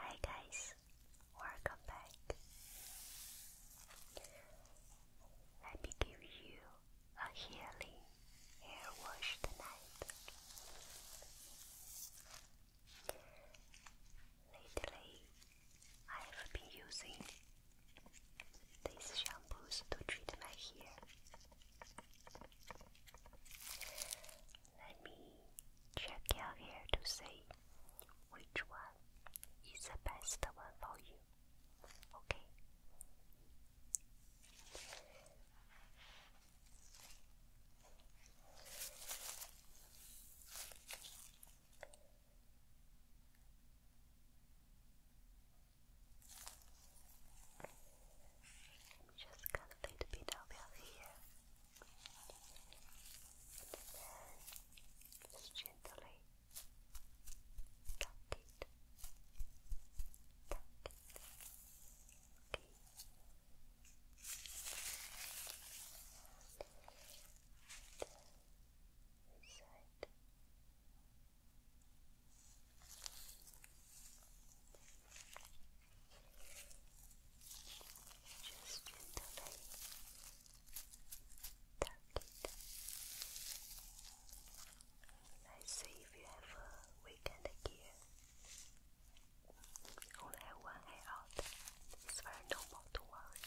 Hi guys, welcome back. Let me give you a healing hair wash tonight. Lately, I have been using these shampoos to treat my hair. Let me check out here to see which one is the best one for you. Okay. Just cut a little here. And then just gently tuck it. Tuck it. Okay. And inside. Just gently tap it. Let's if you have a weekend gear. Only have one hair out. It's very normal to worry.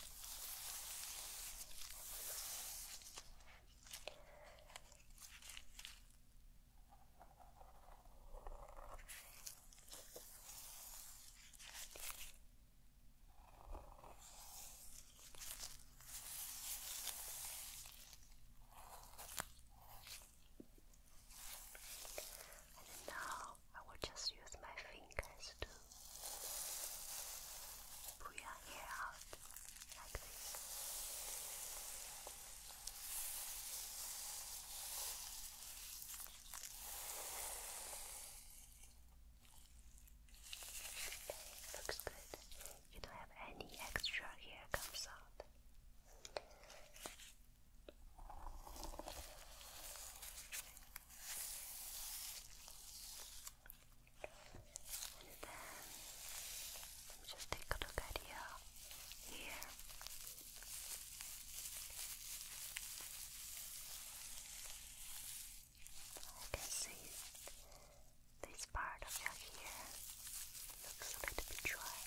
And now I will just use my fingers to pull your hair out like looks good. You don't have any extra hair comes out and then just take a look at your ear. I can see this part of your ear looks a bit dry.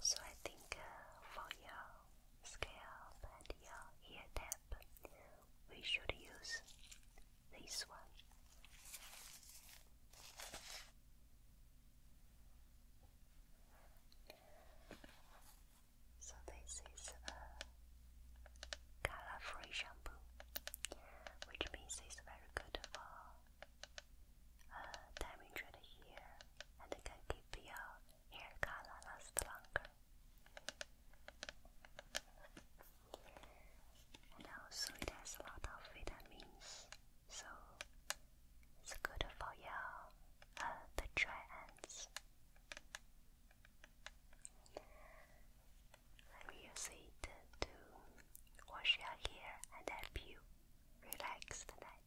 So I think uh, for your scalp and your ear tap, we should use this one. So this is a color-free shampoo, which means it's very good for uh, damaged hair and it can keep your hair color last longer. And also it has a lot of vitamins, so it's good for your uh, the dry ends. Let me use it to wash your hair and help you relax tonight.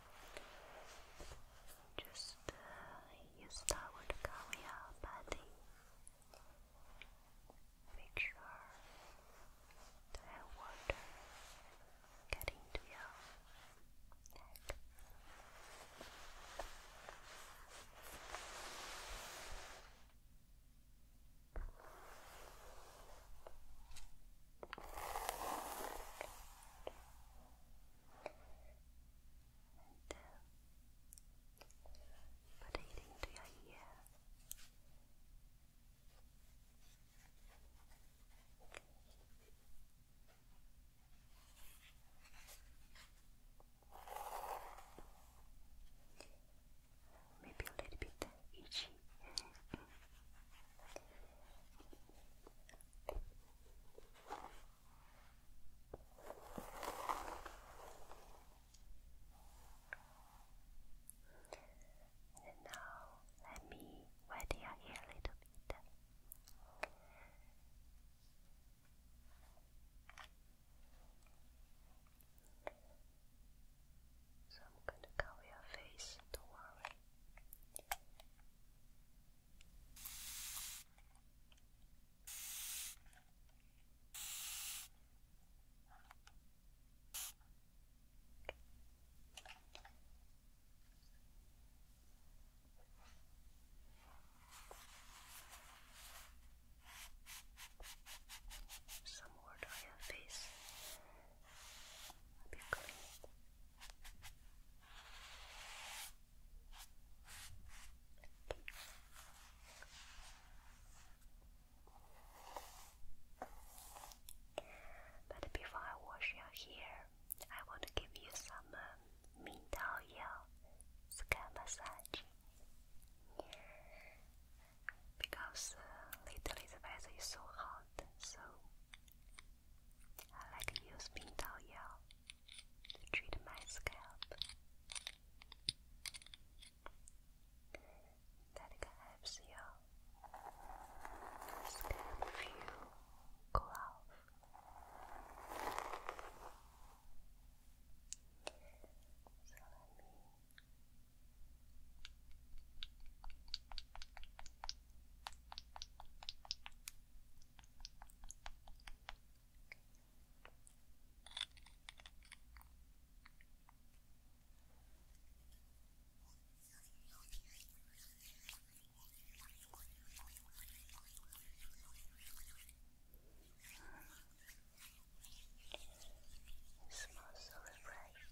Just uh, use our Korea body. Make sure the water get into your neck put it into your ear. Maybe a little bit itchy. And now let me wet your hair a little bit. So I'm going to cover your face, don't worry. Some water on your face. Be clean. But before I wash your hair, I want to give you some um, Mintao scalp massage because uh, lately the weather is so hot, so I like to use Pingdao Yao to treat my scalp. That helps your scalp feel cool So let me it smells so refreshing.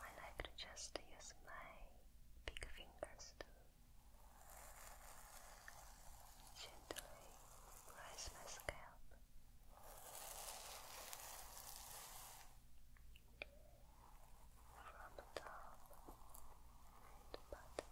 I like to just use my big fingers to gently raise my scalp. From the top to bottom.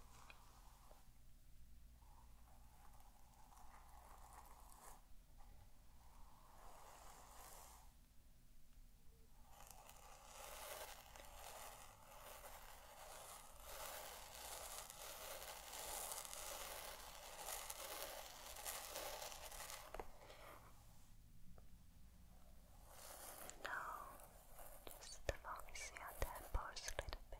Now, just focus your temples a little bit.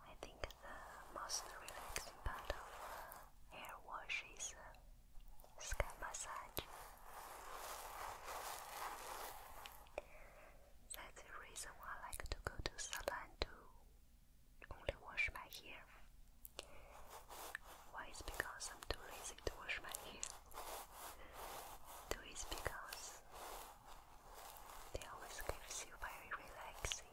I think the most relaxing part of uh, hair wash is uh, scalp massage. That's the reason why I like to go to salon to only wash my hair. Why is because I'm too lazy to wash my hair. Two is because they always gives you very relaxing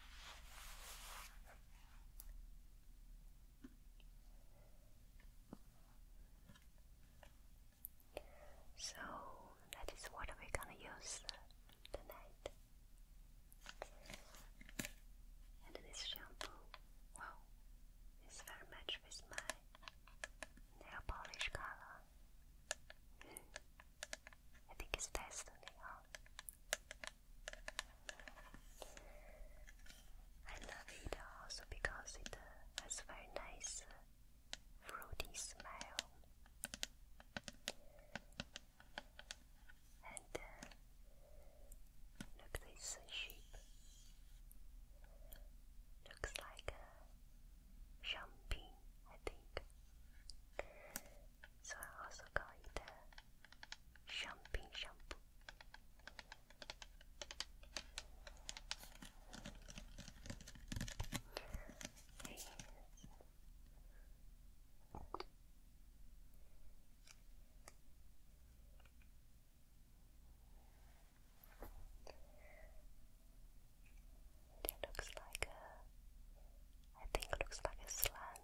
So that is what we're gonna use tonight. And this shampoo, wow, is very much with my nail polish color. I think it's Destiny. I love it also because it uh, has very nice uh, fruity smell. And uh, look, this sheep looks like a champagne, I think. So I also call it the champagne shampoo. Hey. That looks like a, I think looks like a slant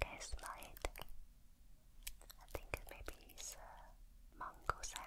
Can you smell it? I think maybe it's uh, mango scent.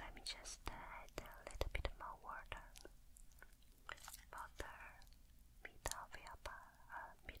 Let me just add a little bit more water. Water mid of your, uh, mid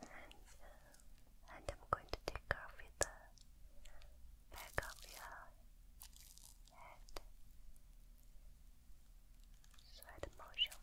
and, I'm going to take off with the back of your head side motion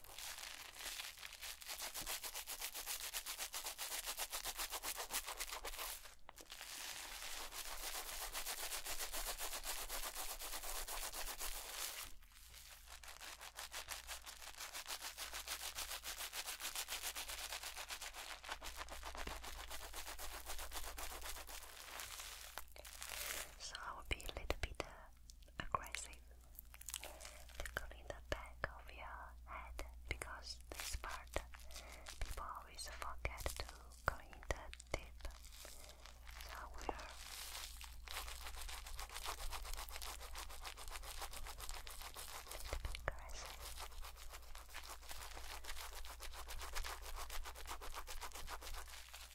So I will be a little bit uh, aggressive, tickling the back of your head because this part people always forget to clean the tip. So I will aggressive.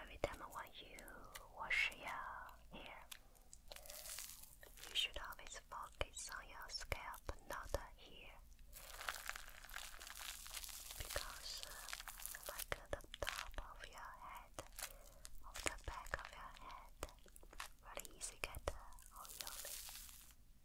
Every time when you wash your hair, you should always focus on your scalp, not the hair. Because, uh, like the top of your head, of the back of your head, very easy get uh, oily.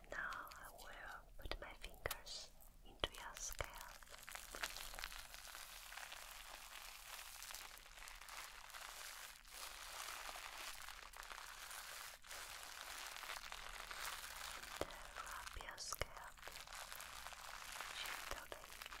And now I will put my fingers into your scalp. And your scalp Gently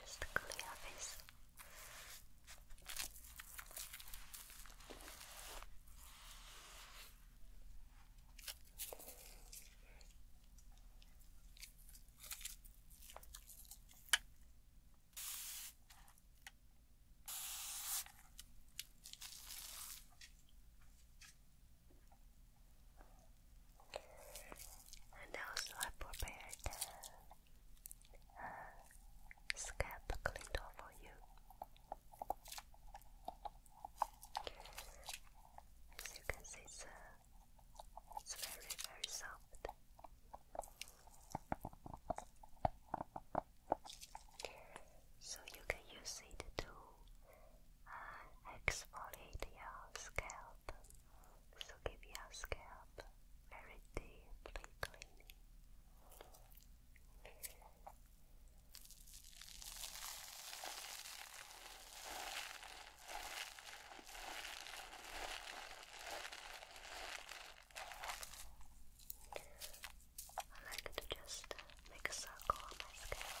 Just a clear this. And also I prepared uh, scalp cleaner for you. As you can see, it's, uh, it's very, very soft. So you can use it to uh, exfoliate your scalp. So give your scalp very deeply cleaning. I like to just make a circle on my scalp.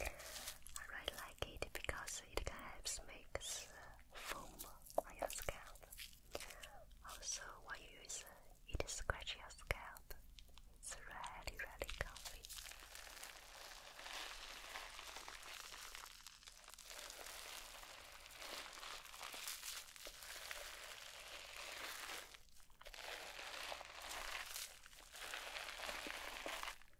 I really like it because it can help make foam on your scalp. Also, when you use it scratch your scalp. It's really, really comfy.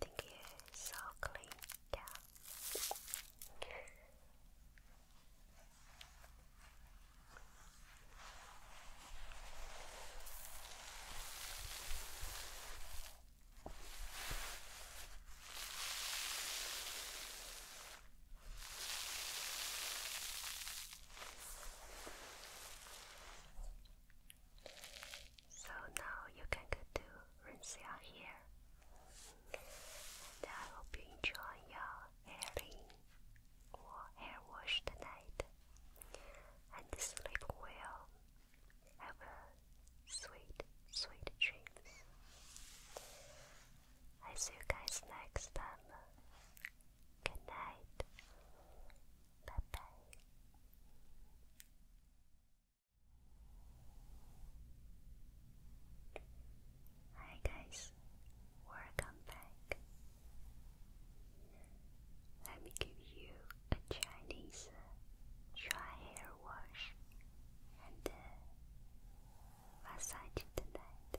I think it's so clean, yeah. So now you can go to rinse your hair. And I hope you enjoy your airing or hair wash tonight. And sleep well. Have a sweet, sweet dreams. I see you guys next time. Good night. Bye bye. Hi guys, welcome back. Let me give you a Chinese dry hair wash and massage tonight.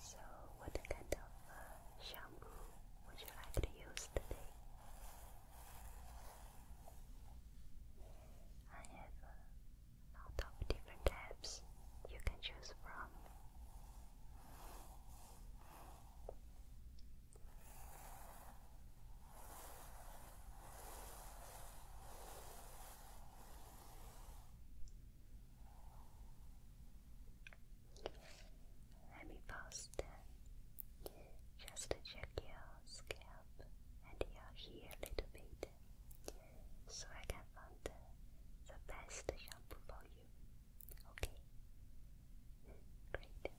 So, what kind of uh, shampoo would you like to use today? I have a lot of different types you can choose from. Let me pause just check your scalp and your hair a little bit, so I can find the, best shampoo for you. Okay? Great.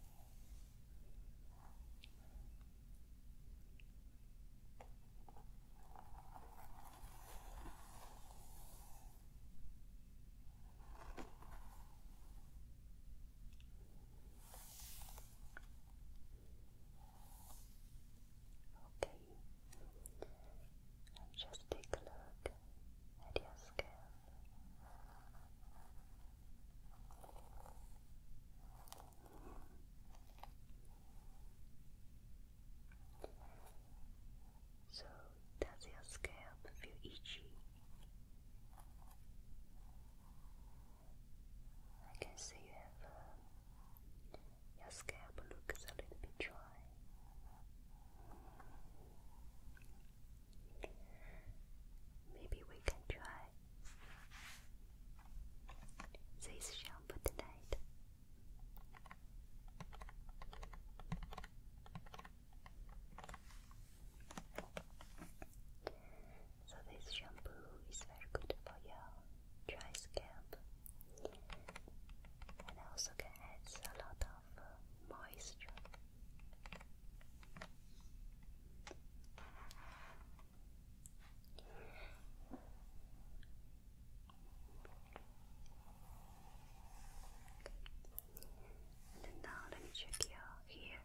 Okay, and just take a look at your scalp. So does your scalp feel itchy? I can see you have uh, your scalp looks a little bit dry. Maybe we can try this shampoo tonight. So this shampoo is very good for your dry scalp and also can add a lot of uh, moisture. And now let me check your ear.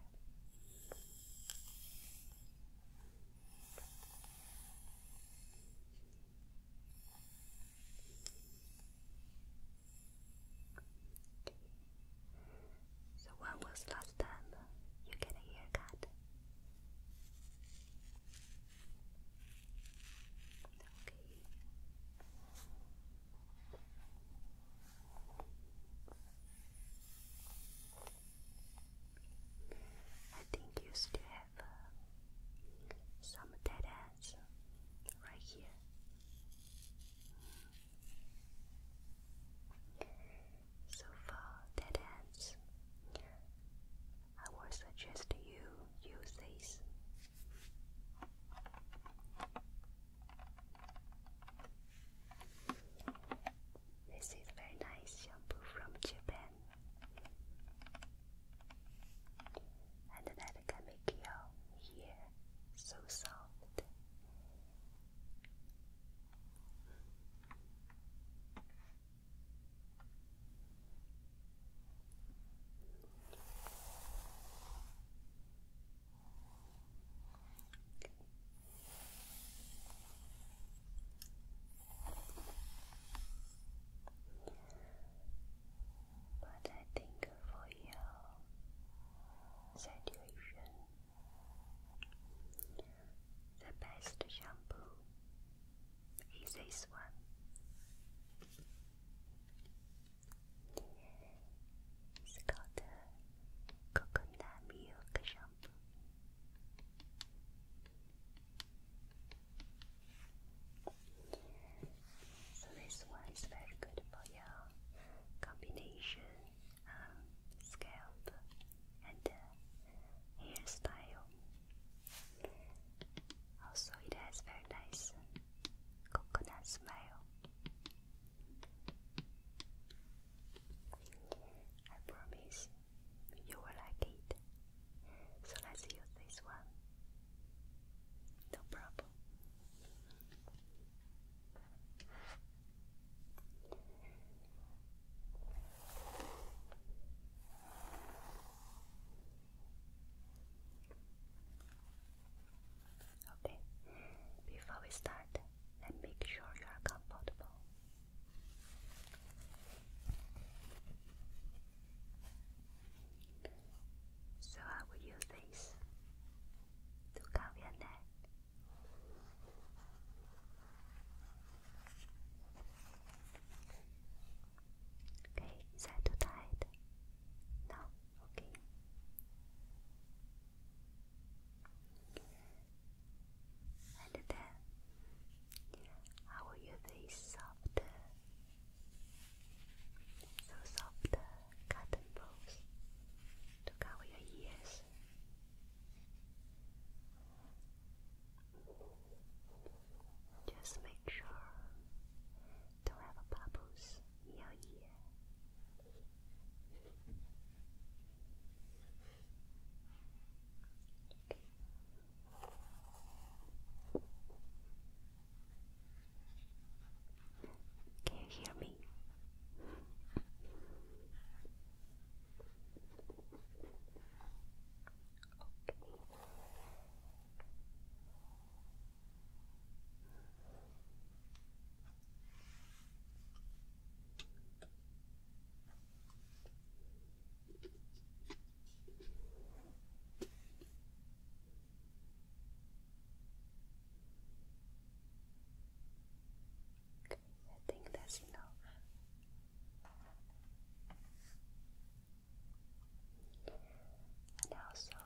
So when was last time you get a haircut? Okay. I think you still have uh, some dead ends right here. So for dead ends, I would suggest you use these this is very nice shampoo from Japan. And that can make so soft. But I think for your situation, the best shampoo is this one. It's coconut milk shampoo. So this one is very good for your combination um, scalp and hairstyle. Also, it has very nice coconut smell. I promise you will like it. So let's use this one. No problem. Okay, before we start, let make sure you are comfortable. So I will use this to cover your neck. Okay, is that tight? No, okay. And then I will use a soft, so soft cotton balls to cover your ears. Just make sure don't have a papoose. Yeah, Can you hear me? Okay, I think that's enough. And also,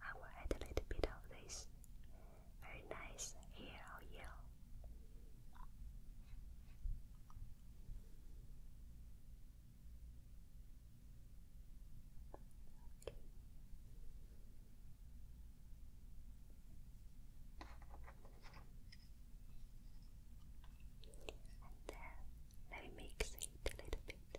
I will add a little bit of this very nice hair oh, And then uh, let me mix it a little bit.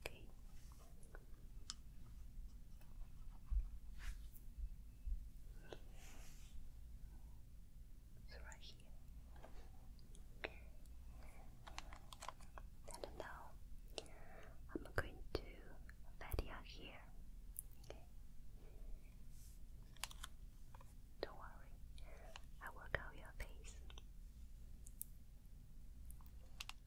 Okay. It's right here. And now I'm going to video here. Don't worry, I work out your face.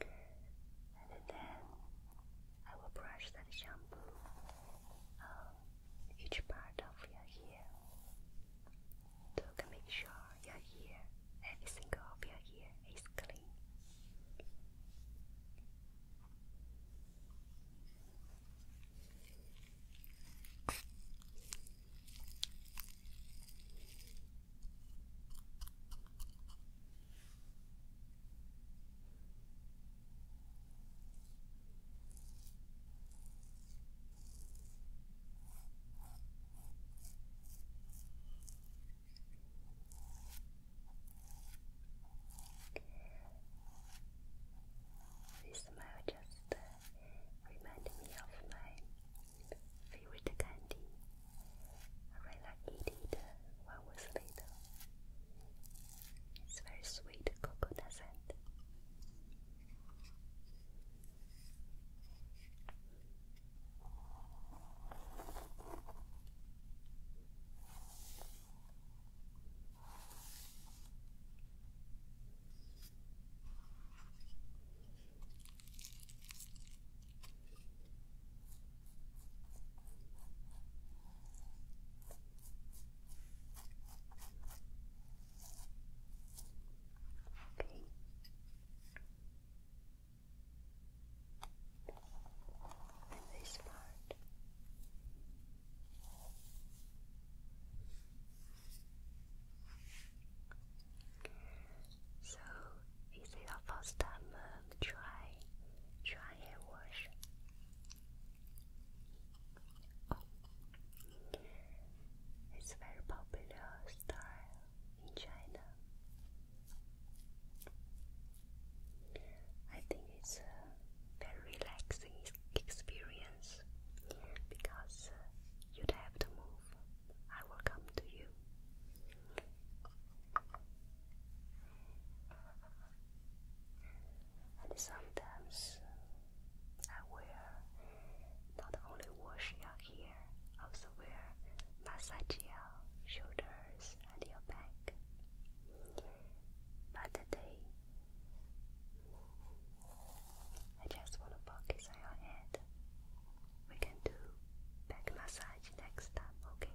and then I will brush that shampoo on um, each part of your hair to make sure your hair, every single of your hair is clean. This smell just reminded me of my favorite candy. I really like eating it when I was It's very sweet coconut scent. Okay. And this part. So is it your first time um, try try hair wash? Oh. It's very popular style in China. I think it's a very relaxing experience because uh, you'd have to move. I will come to you. And sometimes I wear not only wash your hair, also wear massage your shoulders and your back. But today, I just want to focus on your head. We can do back massage next time, okay?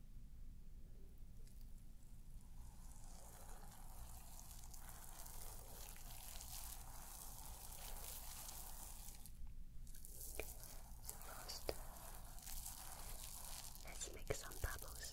first, let's make some bubbles.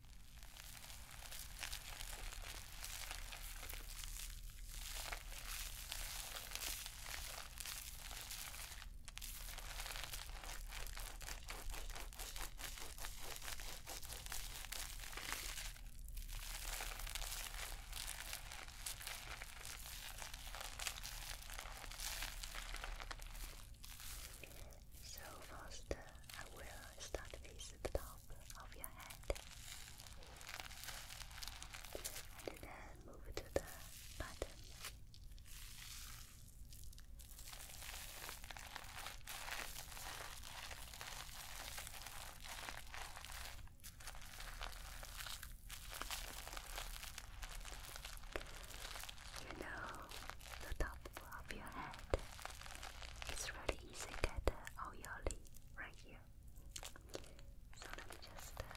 So first, I will start with the top of your head. And then move to the bottom. You know, the top of your head. It's really easy to get all your leaves right here. So let me just uh,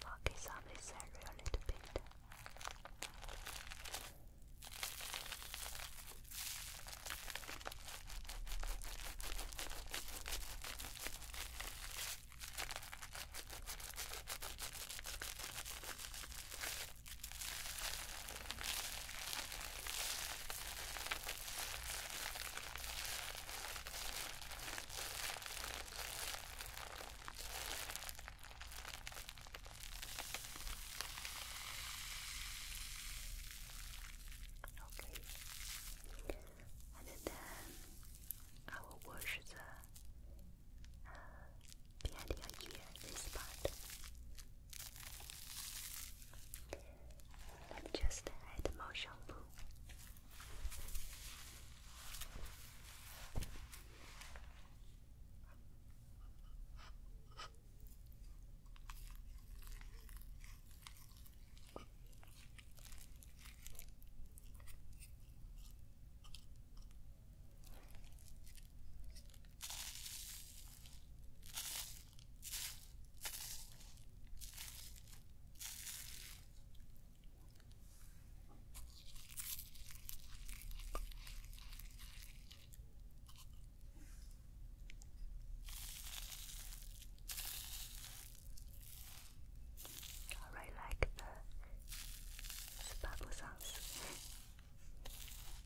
focus on this area a little bit. Okay, and then uh, I will wash the uh, behind your this part. Let just add more shampoo. I really like the, the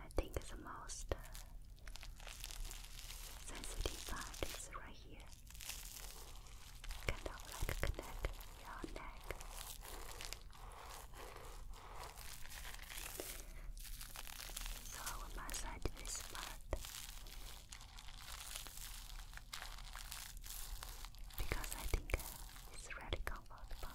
I think the most uh, sensitive part is right here. Kind of connect your neck. So I will massage this part because I think uh, it's really comfortable.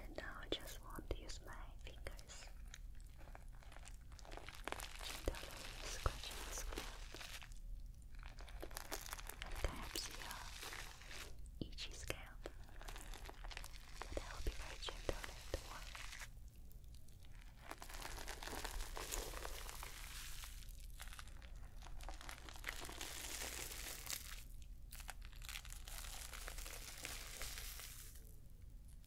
And now I just want to use my fingers scratching the scalp. Perhaps your itchy scalp. But I will be very gentle later on.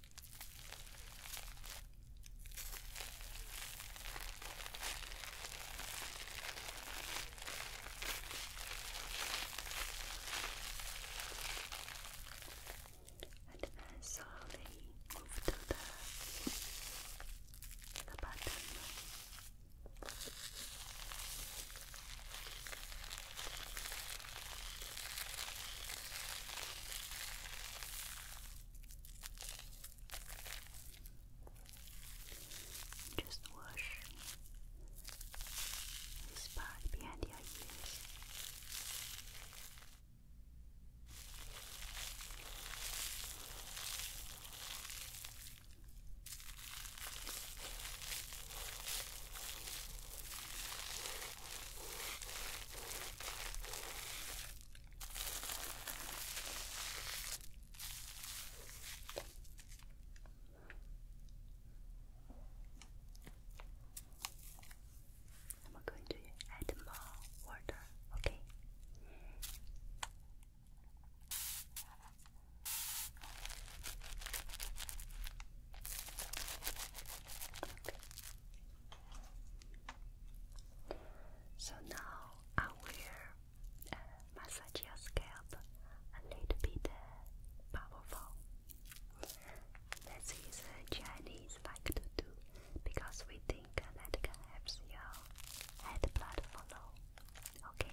And then slowly move to the, the just wash this part behind your ears. And we going to add more water, Okay. So now I will uh, massage your scalp a little bit uh, powerful. This is Chinese like to do because we think that can help your head blood flow. Okay.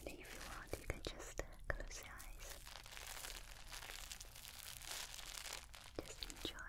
And if you want, you can just uh, close your eyes. Just enjoy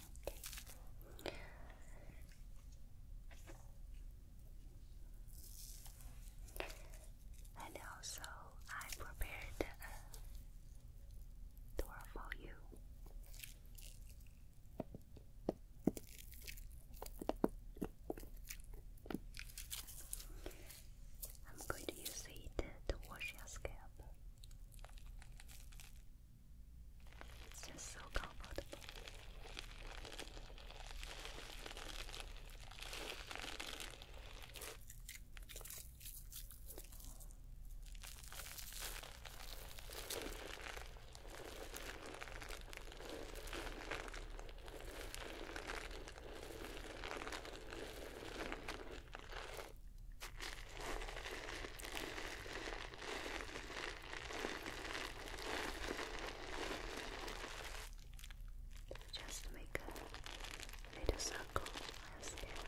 Okay. And I prepared a uh, door for you. I'm going to use it to wash your scalp. It's just so comfortable. Just make a little circle as it.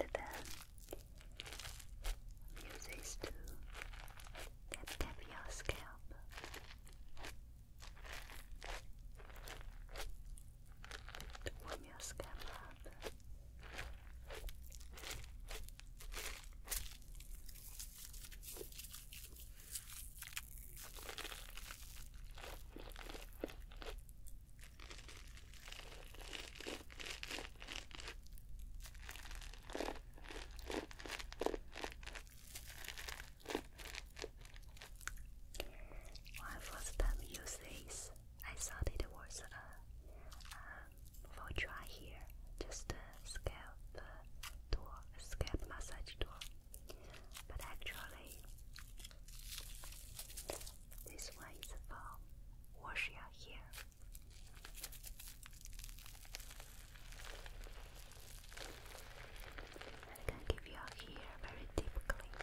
And then use this to tap tap your scalp. To your scalp when I first time used this, I thought it was a uh, um, for dry hair, just scalp uh, scalp massage tool. But actually, this one is from Warshia here. I can give you a here very deep clean.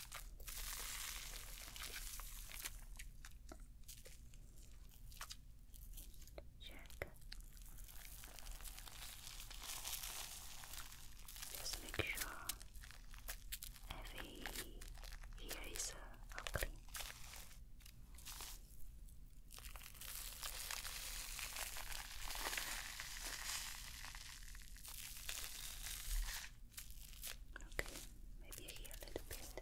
Check. Just make sure every ear clean. Okay, maybe here a little bit.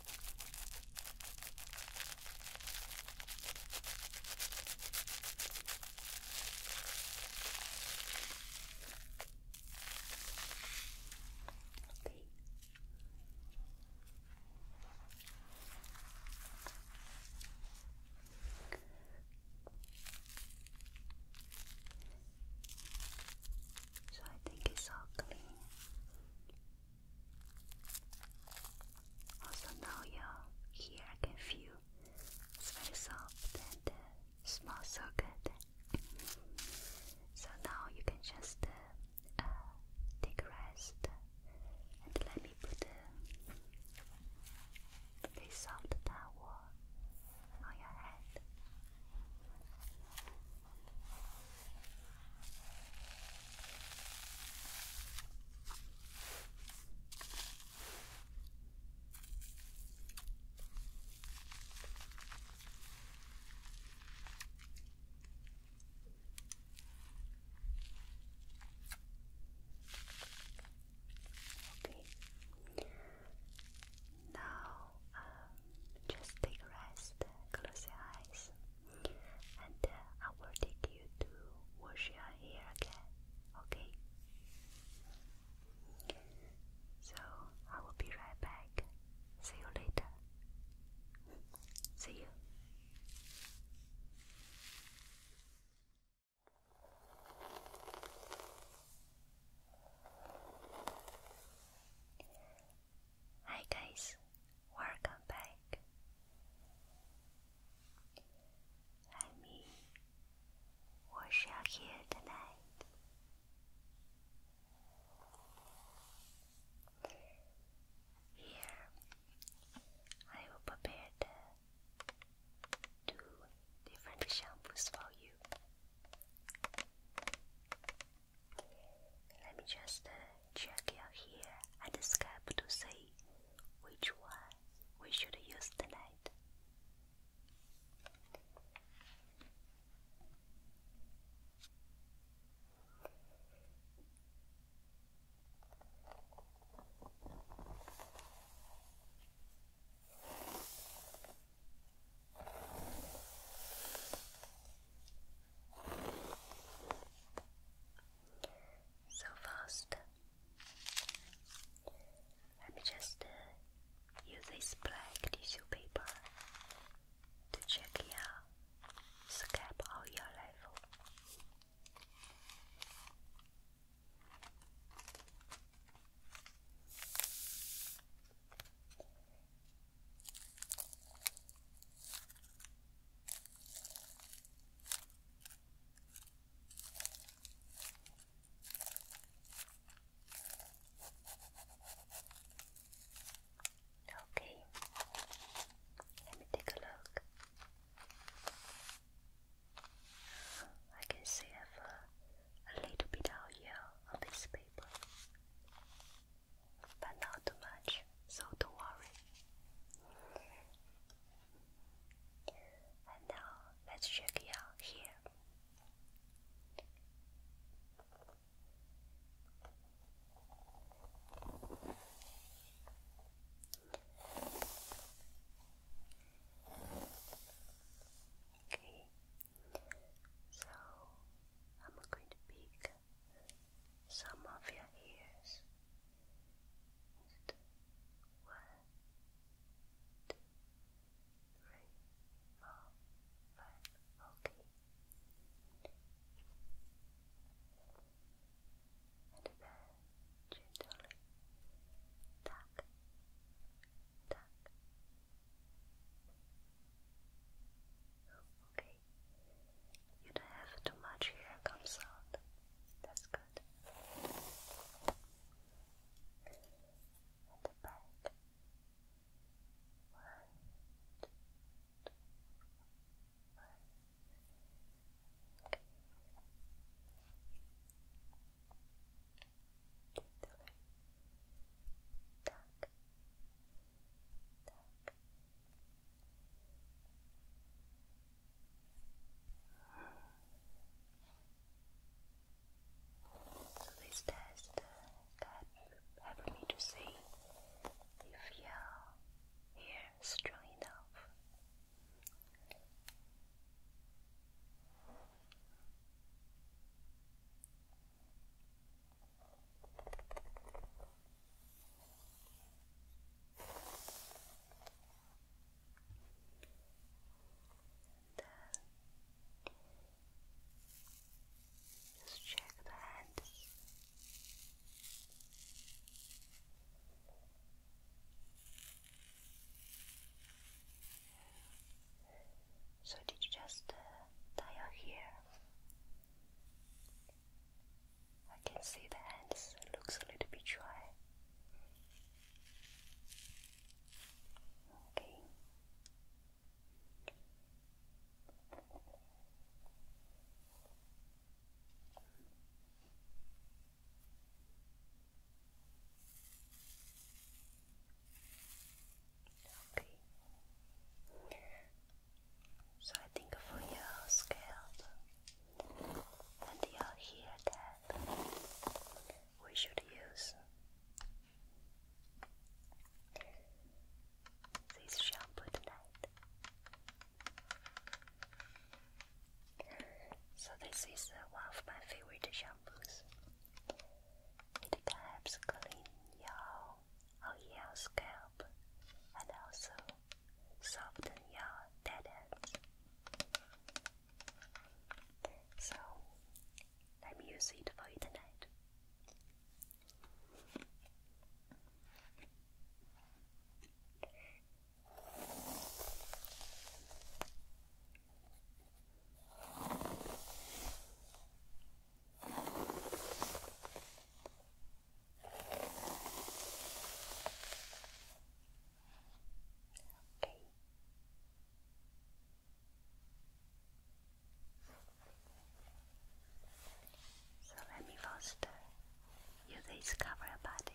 Okay. So I think it's all clean. Also now your here I can feel it's very soft and uh, so good. so now you can just uh, uh, take rest and let me put uh, this soft towel on your head. Okay. Now, um, just take a rest. Close your eyes and uh, I will take you to wash your hair again, okay? So I will be right back. See you later. See you. Hi guys, Welcome back. Let me wash your hair tonight. Here, I will prepare two different shampoos for you. Let me just uh, check your hair and scalp to see which one we should use tonight so fast. Let me just uh, use this black tissue paper to check your scalp or level. Okay, let me take a look. I can see a little bit out here on this paper, but not too much so don't worry. And now let's check it here. Okay, so I'm going to pick some of your ears. Just one, two, three, four, five. Okay. And then gently tuck, tuck. Okay. You don't have too much hair comes out. That's good. And the back. One, two, two, one. Okay. Three. Tuck. Tuck. Tuck. So this test can help me to see if your hair strong enough then just check the hands. So did you just uh, tie your hair? I can see the hands looks a little bit dry. Okay. Okay. So I think for your scalp, and your hair cap we should use this shampoo tonight. So this is uh, one of my favorite shampoos. It helps clean your oil scalp and also soften your dead ends. So, let me use it for you tonight. So let me first you discover your body.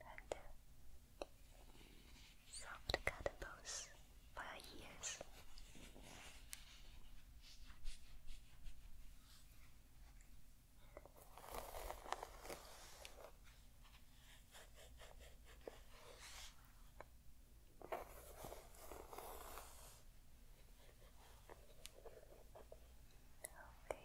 and uh, soft cuttables for your Okay.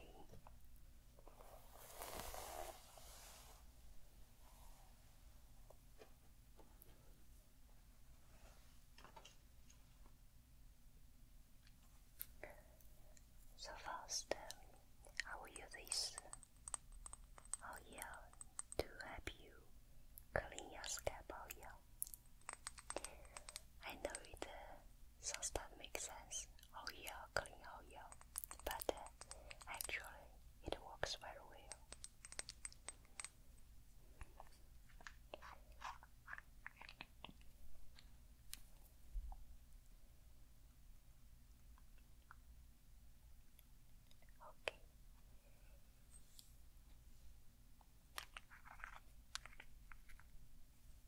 So first, I will use this oil to help you clean your scalp oil. I know it uh, sounds makes sense. Oh yeah, clean oh yeah, but uh, actually it works very well. Okay.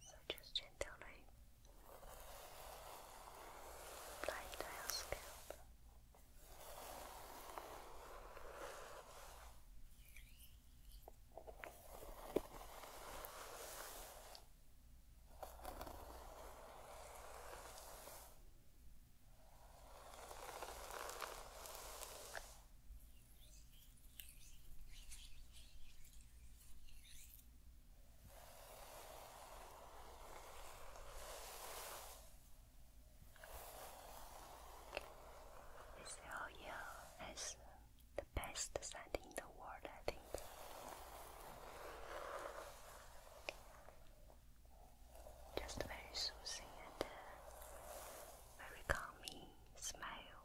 So just gently eh? apply it scalp. This area has the best scent in the world, I think. Just very soothing and uh, very calming smell.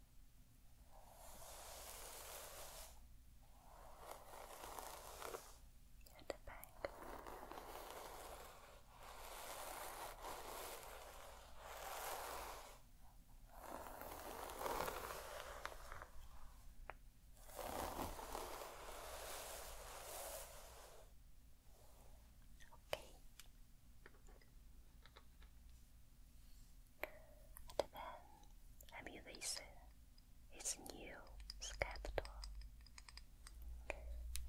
And a back. Okay. And then emulation is new capital.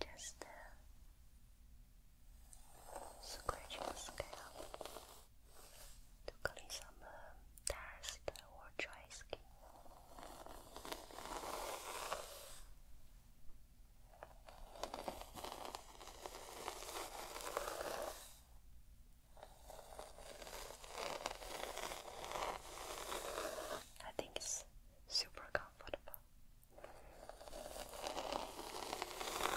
Just uh, scratch the to clean some uh, dust or dry skin. I think it's super comfortable. The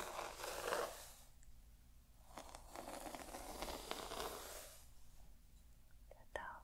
top.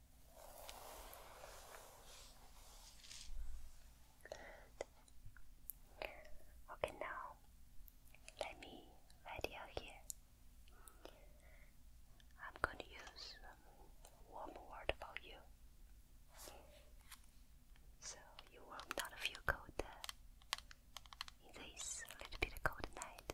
Good. Okay, now let me write down here. I'm going to use warm word for you. So you will not feel cold uh, in this little bit cold night.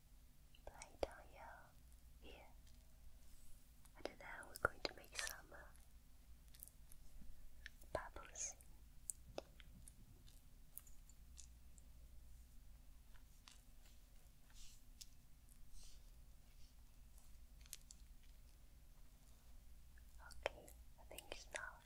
lie down here, here, and then we're going to make some uh, bubbles. Okay, I think it's enough.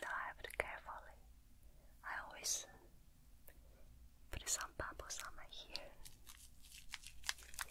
dived carefully. I always put some bubbles on my hair. Okay.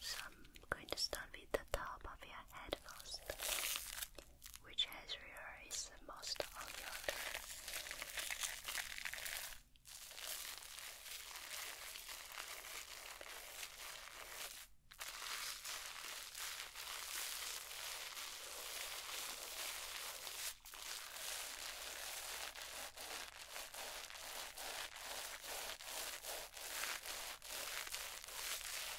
So I'm going to start with the top of your head first. Which area is the most on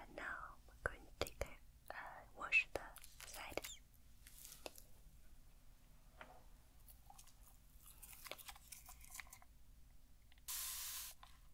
And now we're going to take a wash the side.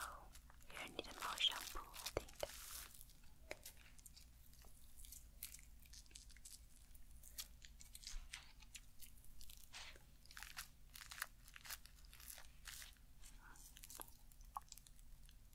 Oh, you need a more shampoo, I think.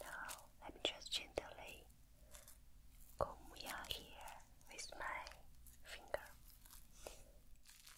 Now I'm just gently comb your with my finger.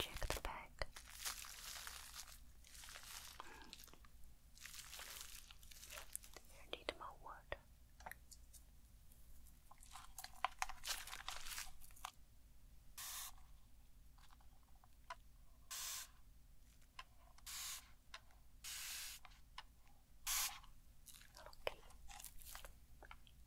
Check the back. need more wood. Okay.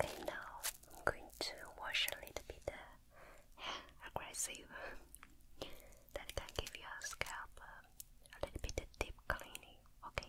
Okay, now I'm going to wash a little bit aggressive, that can give your scalp uh, a little bit deep cleaning. Okay.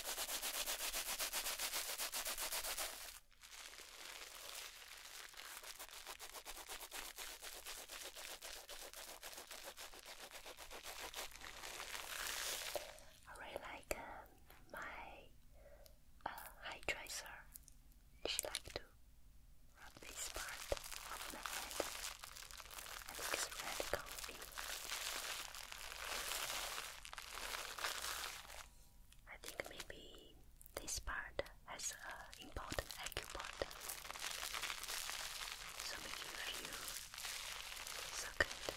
I really like um, my uh, She like to rub this part of the head. I think it's really comfy. I think maybe this part has an important acupoint. So maybe you suck it.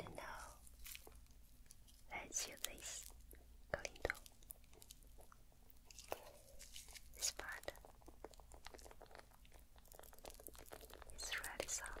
And now, let's use this clean tool. This part really soft.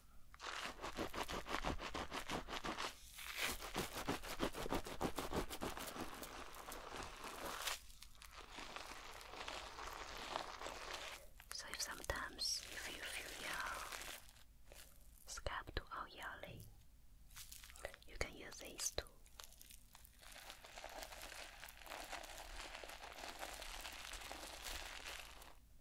So if sometimes you feel, feel your scalp too all yelly, you can use these too.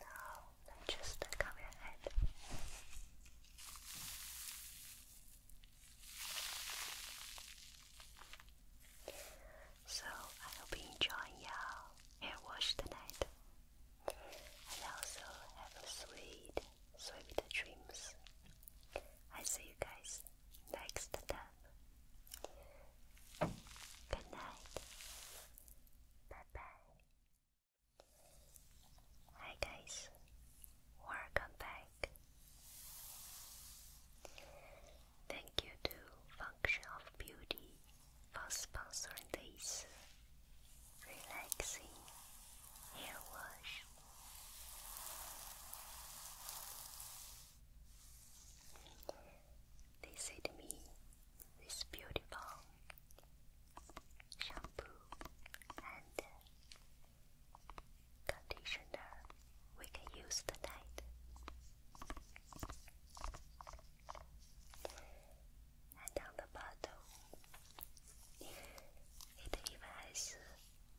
Now, just cover your So I hope you enjoy your hair wash tonight and also have sweet, sweet dreams. I see you guys next time. Good night. Bye bye. Hi guys, welcome back. Thank you to Function of Beauty for sponsoring this relaxing hair wash. They sent me this beautiful shampoo and conditioner we can use tonight and on the bottom it even has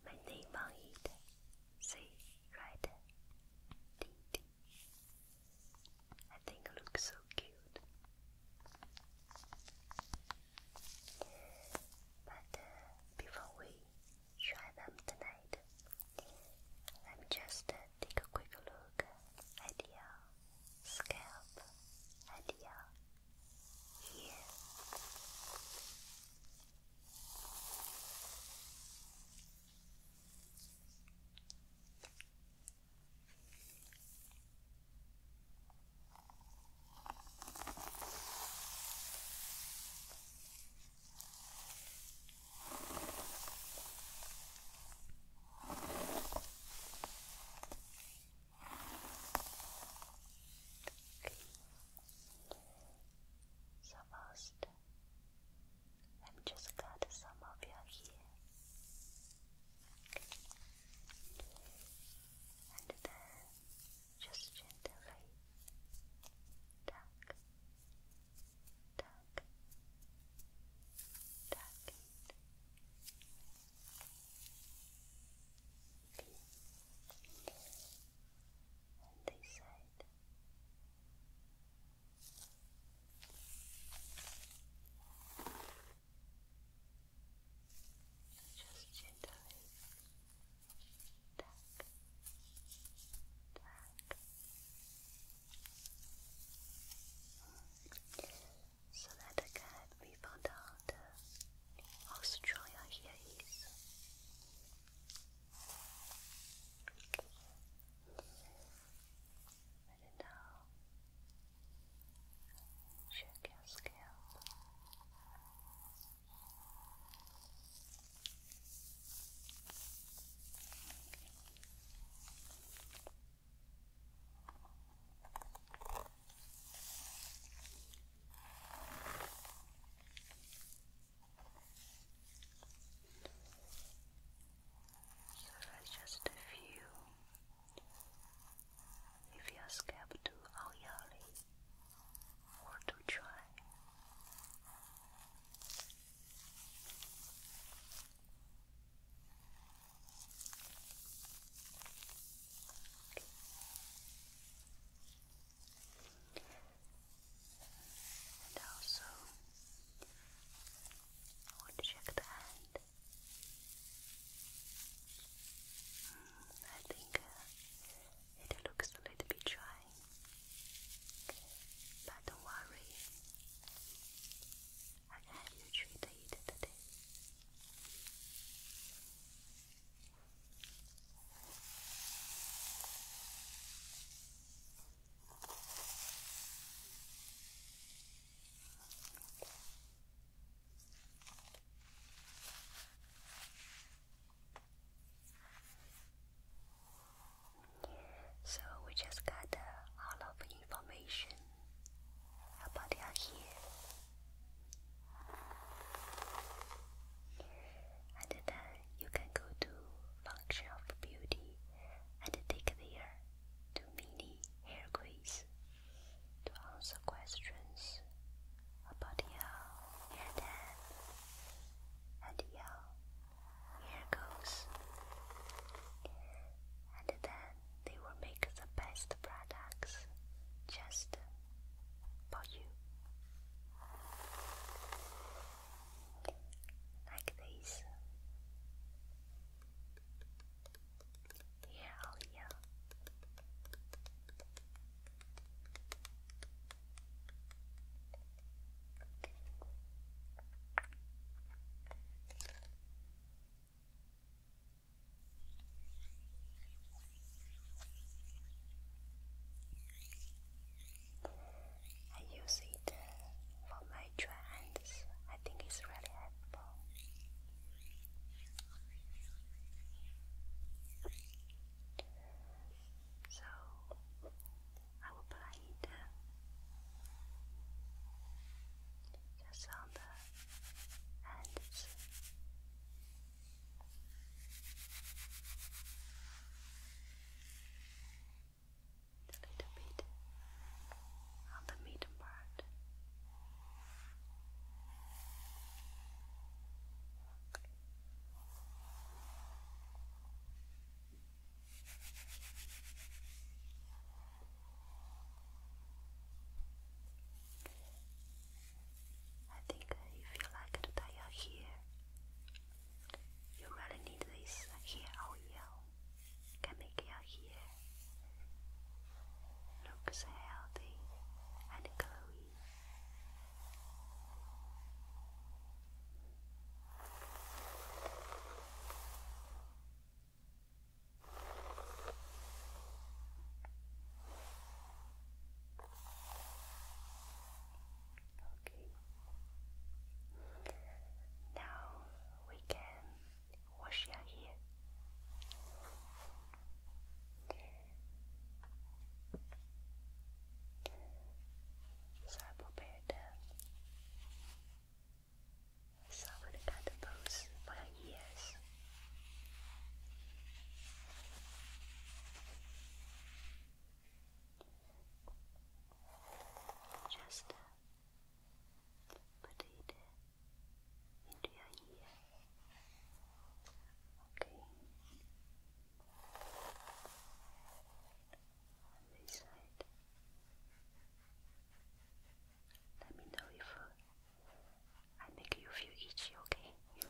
my name on it. See, right? I think it looks so cute. But uh, before we try them tonight, let me just uh, take a quick look at uh, scalp, and your ear. So first, let me just cut some of your hair, and then just gently tuck, tuck, tuck on this side. Just gently tap, tap so that I can be found out how strong your hair is. And now, check your scalp. Your scalp so that's just a few. If you are scared to Aoyali or to try. And also, I want to check the hand. Mm, I think uh, it looks a little bit dry, but don't worry, I have you treat today. So we just got a of information how about out here? And then you can go to Function of Beauty and take there to mini hair quiz to answer questions about your hair dye and your hair goals. And then they will make the best products just for you. Like this. Here or I use it for my trends. I think it's really helpful. So I will apply it just hands. A little bit on the middle part. I think if you like to dye your hair, you really need this hair oil. Oh, Can make your hair looks healthy and glowy. Okay. Now we can wash your hair. So I prepared uh, someone got the bows for Just put it uh, into your ear. Okay. On Let me know if I make you feel itchy, okay? And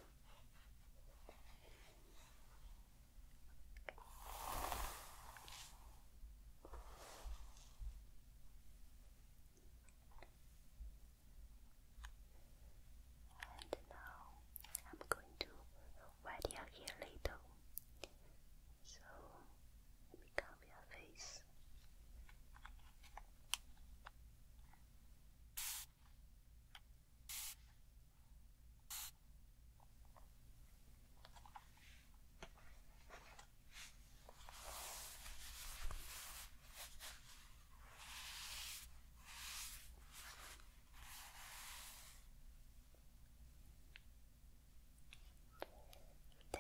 now I'm going to wet your hair a little. So let the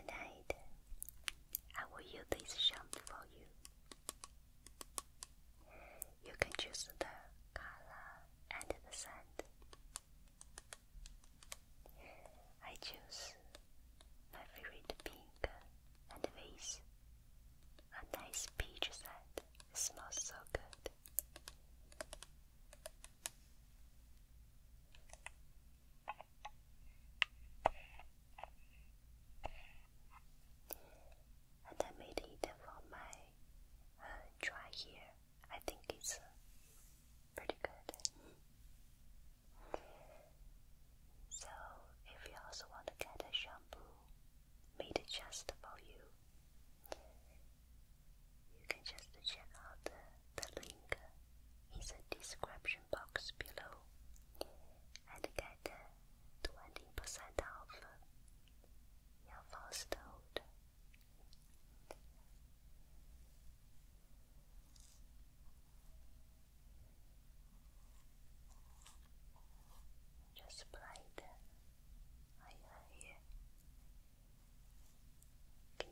night. I will use this shampoo for you. You can choose the color and the scent. I choose my favorite pink and with a nice peach scent. smells so good. And I made it for my uh, dry hair. I think it's uh, pretty good. So, if you also want to get a shampoo made just for you, you can just check out the link in the description box below and get the 20% off your first order. Just bright I are here. Okay.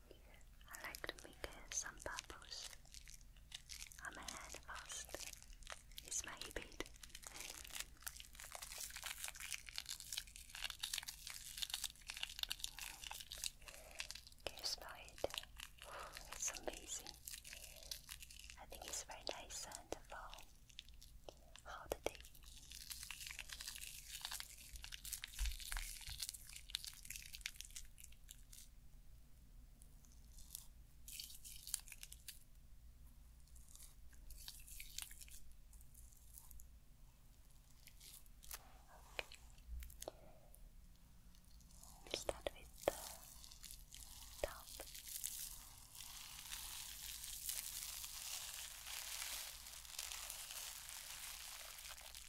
I like to make some bubbles on my hand first. It's my habit. Can you it? it's amazing. I think it's very nice and for holiday. We'll start with the top.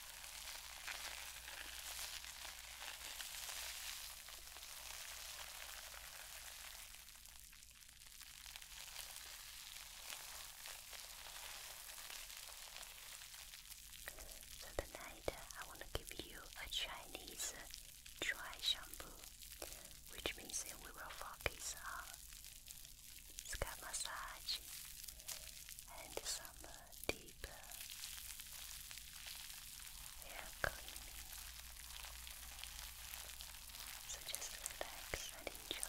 So tonight uh, I want to give you a Chinese uh, dry shampoo, which means that we will focus on scalp massage and some uh, deeper. We are So just relax and enjoy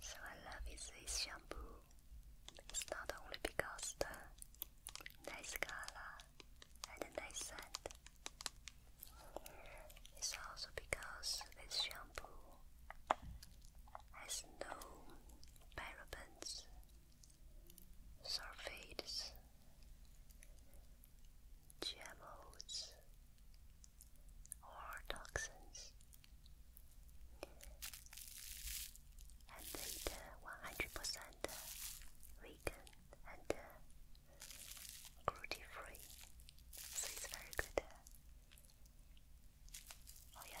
So I love this shampoo. It's not only because the nice color and a nice scent. It's also because this shampoo has no parabens, sulfates, GMOs, or toxins, and it uh, 100% vegan and cruelty-free, uh, so it's very good. Uh, oh yeah,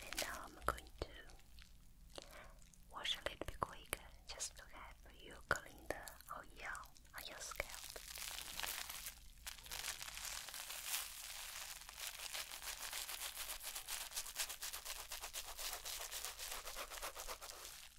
And now I'm going to wash a little bit quicker just to have you clean the oil oh, on your scalp.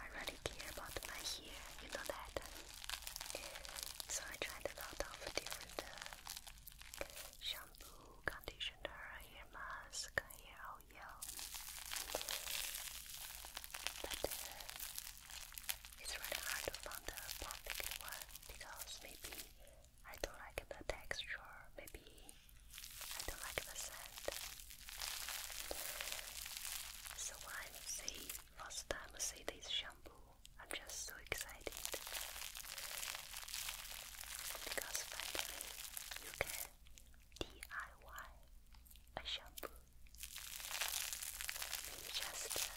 I really care about my hair, you know that. So I tried a lot of different shampoo, conditioner, hair mask, hair oil. But uh, it's really hard to find the perfect one because maybe I don't like the texture, maybe I don't like the scent. So when I see first time I see this shampoo, I'm just so excited because finally you can DIY a shampoo. Maybe just for you.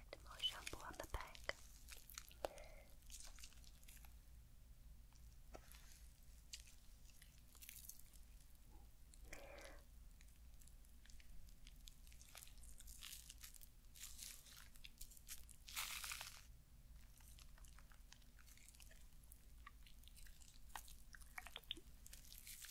get more shampoo on the back.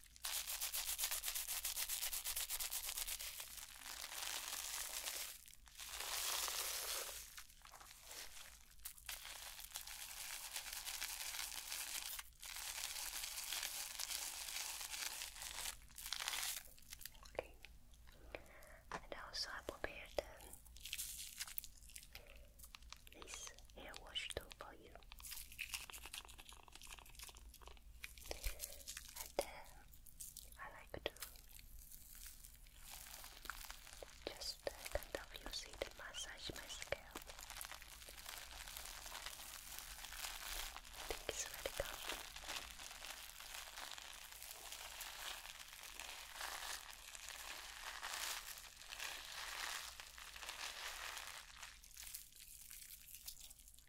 Okay. And also I prepared um, this hair wash too for you. And then uh, I like to just uh, kind of use it to massage my scalp. it's really good.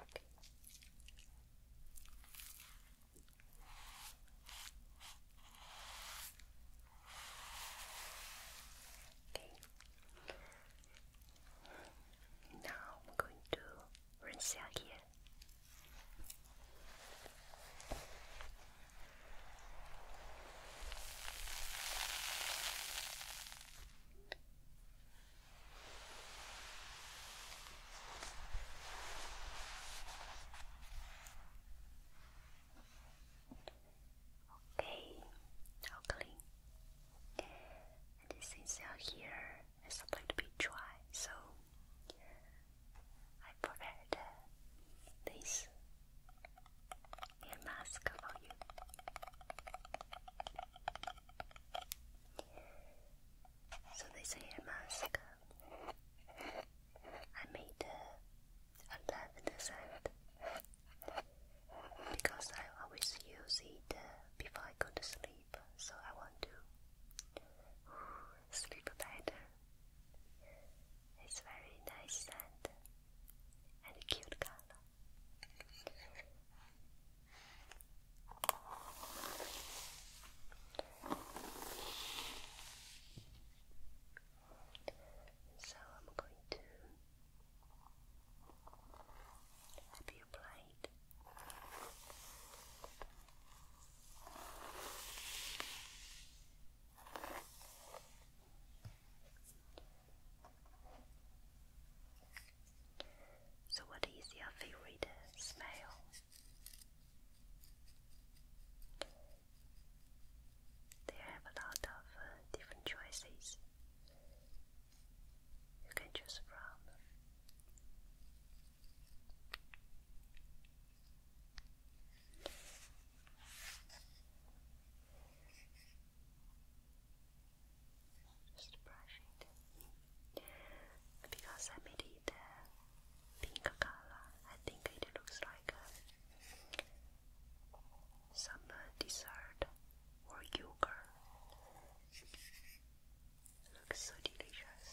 Okay. Now I'm going to rinse out here Okay, ugly. And since you're here, it's going to be dry, so I prepared this ear mask for you. So this ear mask I made a lavender scent because I always use it uh, before I go to sleep. So I want to sleep better it's very nice sand and cute color. So I'm going to help you apply so, what is your favorite smell? They have a lot of uh, different choices. You can choose from. Just brush it because I made it uh, pink color. I think it looks like uh, some uh, dessert or yogurt. Looks so delicious.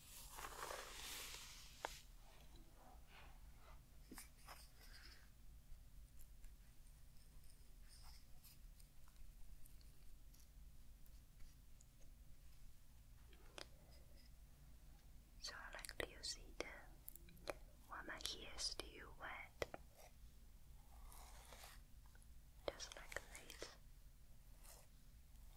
So like you see the one my still wet just like this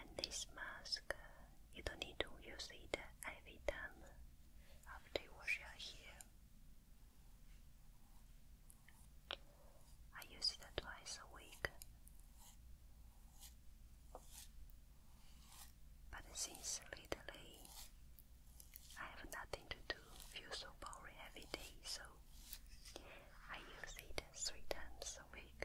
And this mask you don't need to use it every time after you wash your hair. I use it twice a week. But since lately I have nothing to do, feel so boring every day, so I use it three times a week.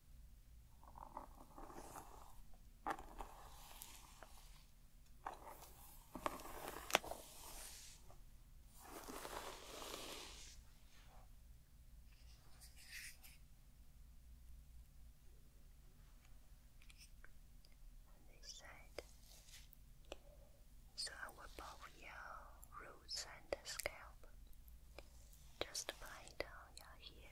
this side. So I will both your roots and scalp. Just apply down your hair.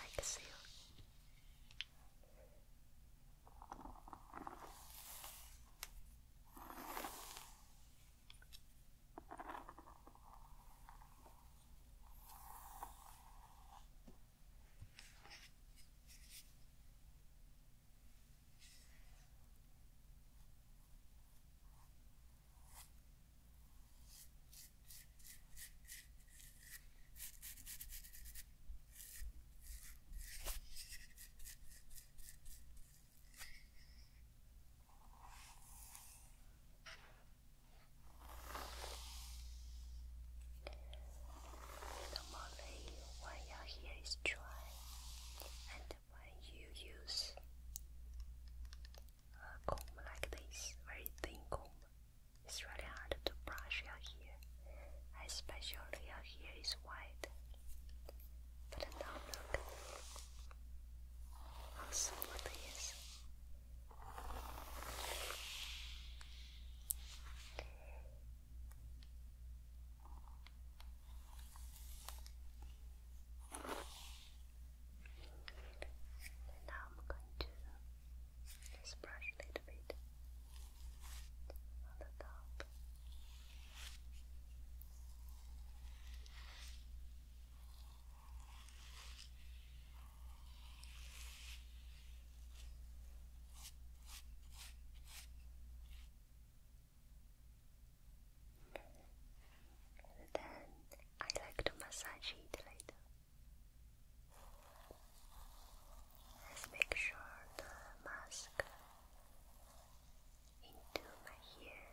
like a seal. Good. Normally, when your hair is dry and when you use a comb like this, very thin comb, it's really hard to brush your hair, especially your hair is white. But now look how smooth it is. And now I'm going to just brush a little bit on the top. then I like to massage it later. Let's make sure the mask into my hair.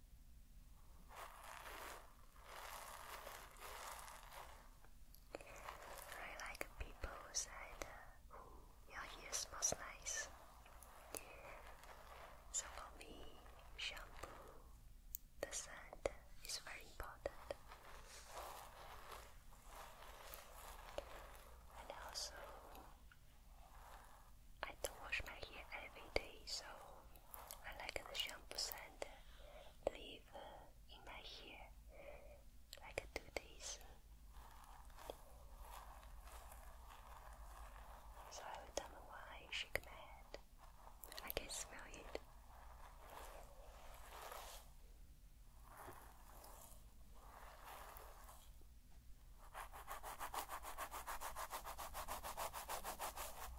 I like people who said uh, your hair nice. So for shampoo, the scent is very important. And also I don't wash my hair every day, so I like the shampoo scent leave in my hair like two days. So every time when I shake my head, I can smell it. I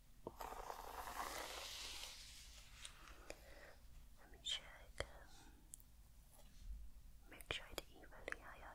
Let me make sure it evenly higher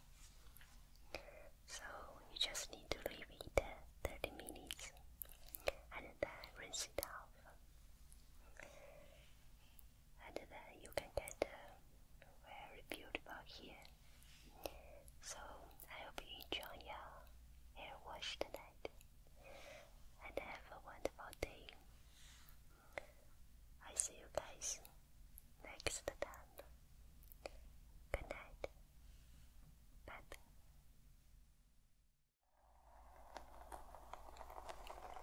So you just need to leave it 30 minutes and then rinse it off. And then you can get a very beautiful hair. So I hope you enjoy your hair wash tonight and have a wonderful day. I see you guys next time. Good night. Bye.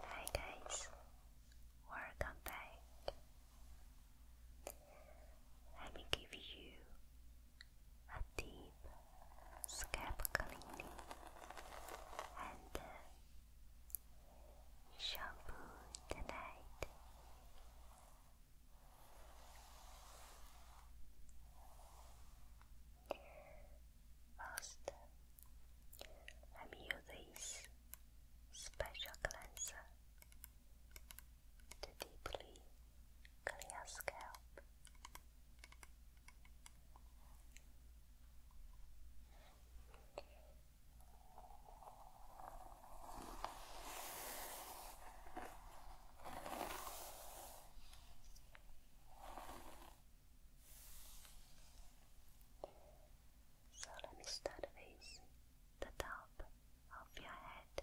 Hi guys, welcome back. Let me give you a deep scalp cleaning and uh, shampoo tonight. First, let use this special cleanser to deeply clear scalp. So let me start with the top of your head.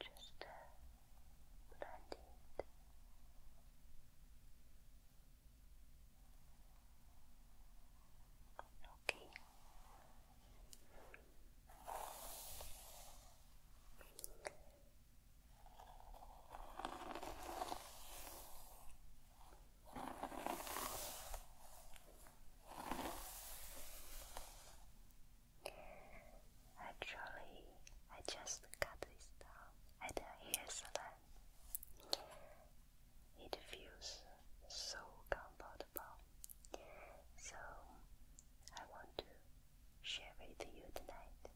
Just blend Okay. Actually, I just cut this down at the hair salon. It feels so comfortable. So I want to share with you tonight.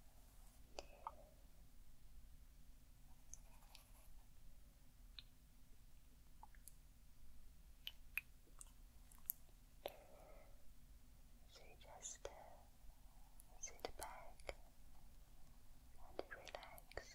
So just uh, sit back and relax.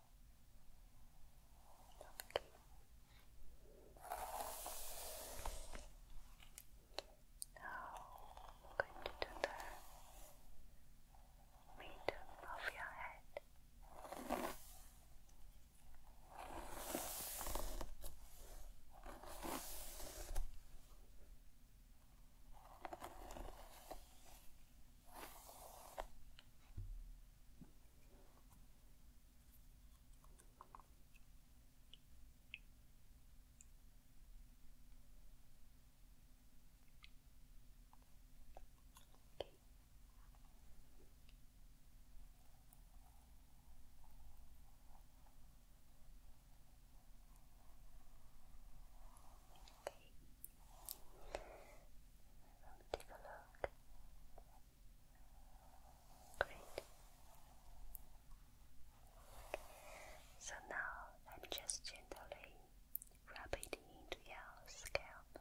Okay. Now I'm going to do the middle of your head. Okay. Let me take a look. Great. So now I'm just gently rub it into your scalp.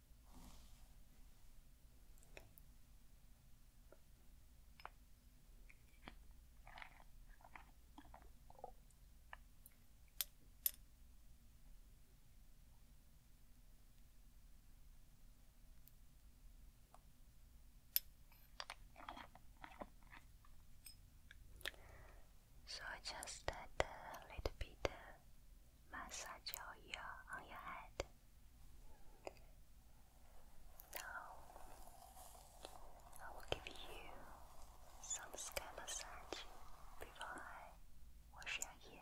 So I just add a little bit massage your ear on your head. Now, I will give you some scalp massage before I wash your ear.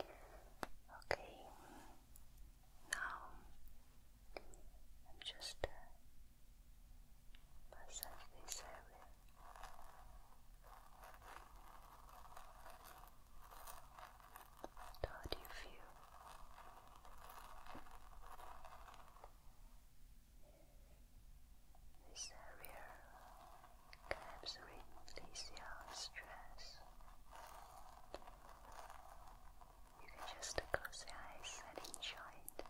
Okay, now I'm just uh, this area. How do you feel? This area Curves release the stress. You can just close your eyes and enjoy it.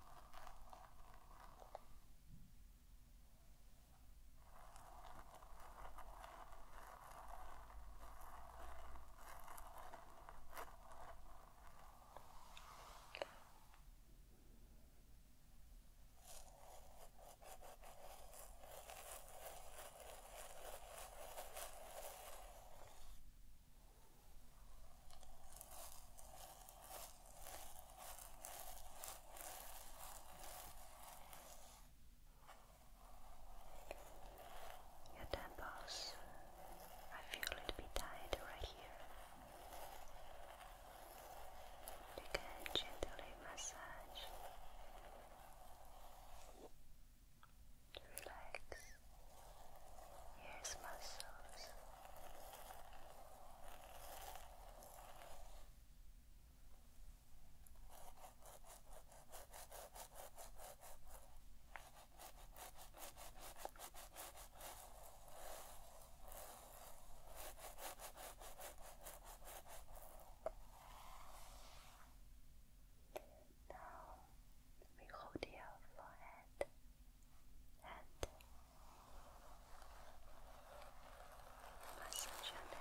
Your temples, I feel a little bit tight right here. You can gently massage relax ears muscles Relax now we hold your forehead and massage your neck.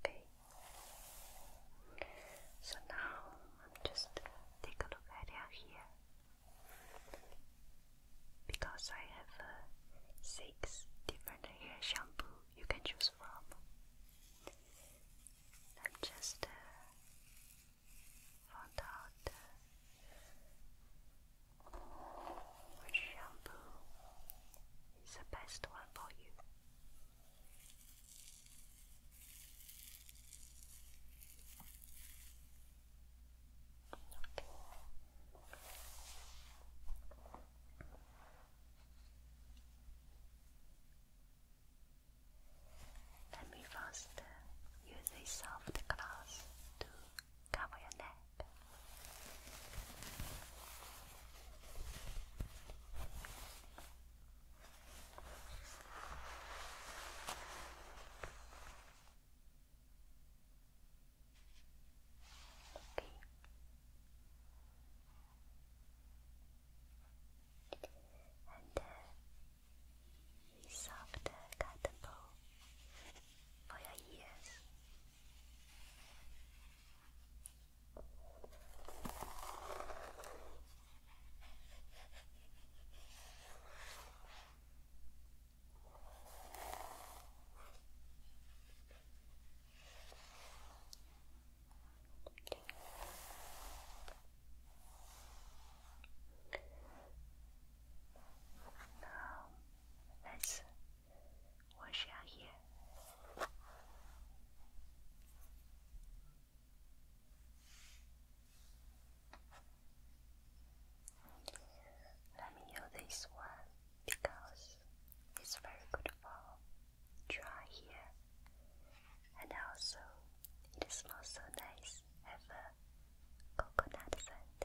Okay. So now I'm just take a look at it here because I have uh, six different hair shampoo you can choose from and just found out which shampoo is the best one for you. Let me first use a soft cloth to cover your neck. Okay and a soft cotton ball for your now let's wash your hair. Let me use this one because it's very good for dry here, and also it smells so nice of a coconut scent.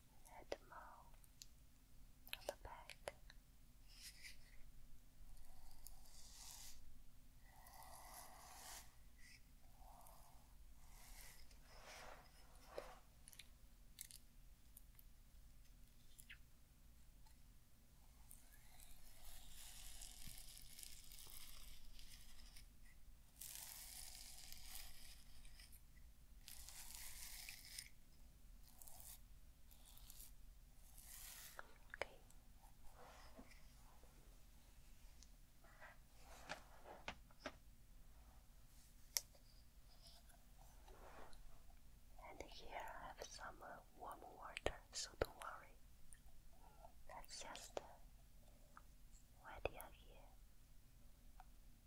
at the mall on the back. And here I have some uh, warm water, so don't worry. That's just uh, they are here.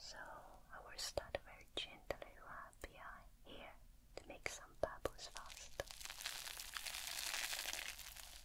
So I will start very gently right behind here to make some bubbles fast.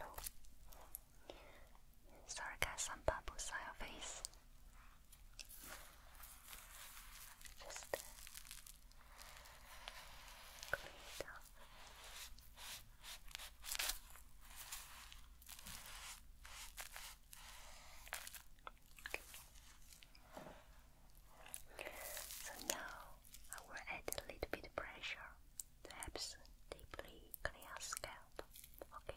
Oh. Sorry guys, some bubbles on your face. Just uh, clean it up. So now I will add a little bit pressure to help deeply clean scalp. Okay.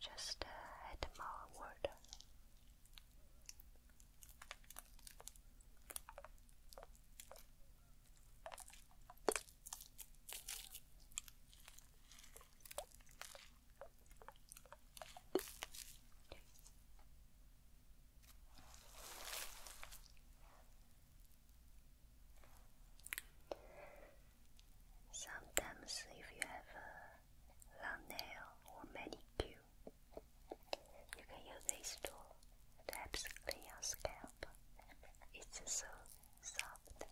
Just uh, add more water. Sometimes, if you have a long nail or manicure, you can use this to help clean your scalp. It's so soft.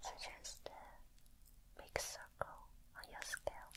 So just uh, make circle on your scalp.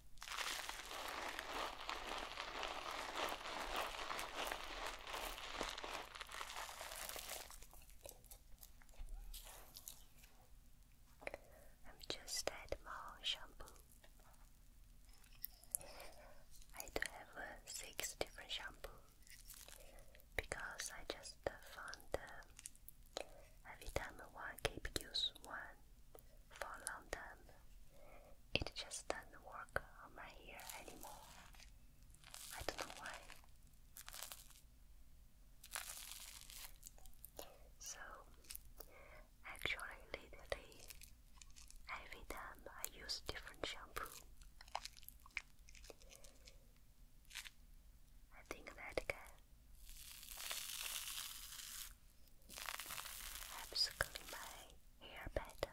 I'm just at my shampoo. I do have uh, six different shampoos because I just uh, found uh, every time one keep use one for a long time it just doesn't work on my hair anymore. I don't know why. So, actually, lately, every time I use different shampoo, I think that can helps clean my hair better.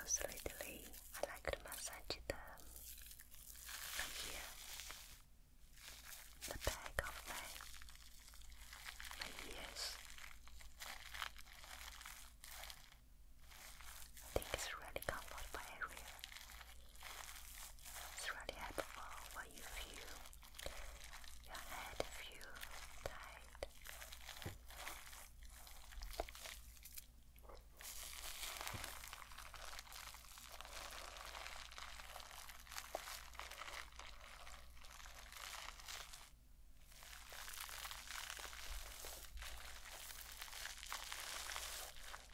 Also lately, I like to massage the back of my ears. I think it's really comfortable area. It's really helpful when you feel your head feel tight.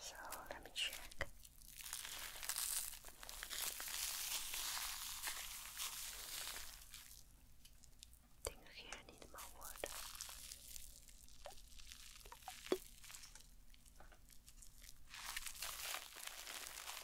So let me check. Think here need more water.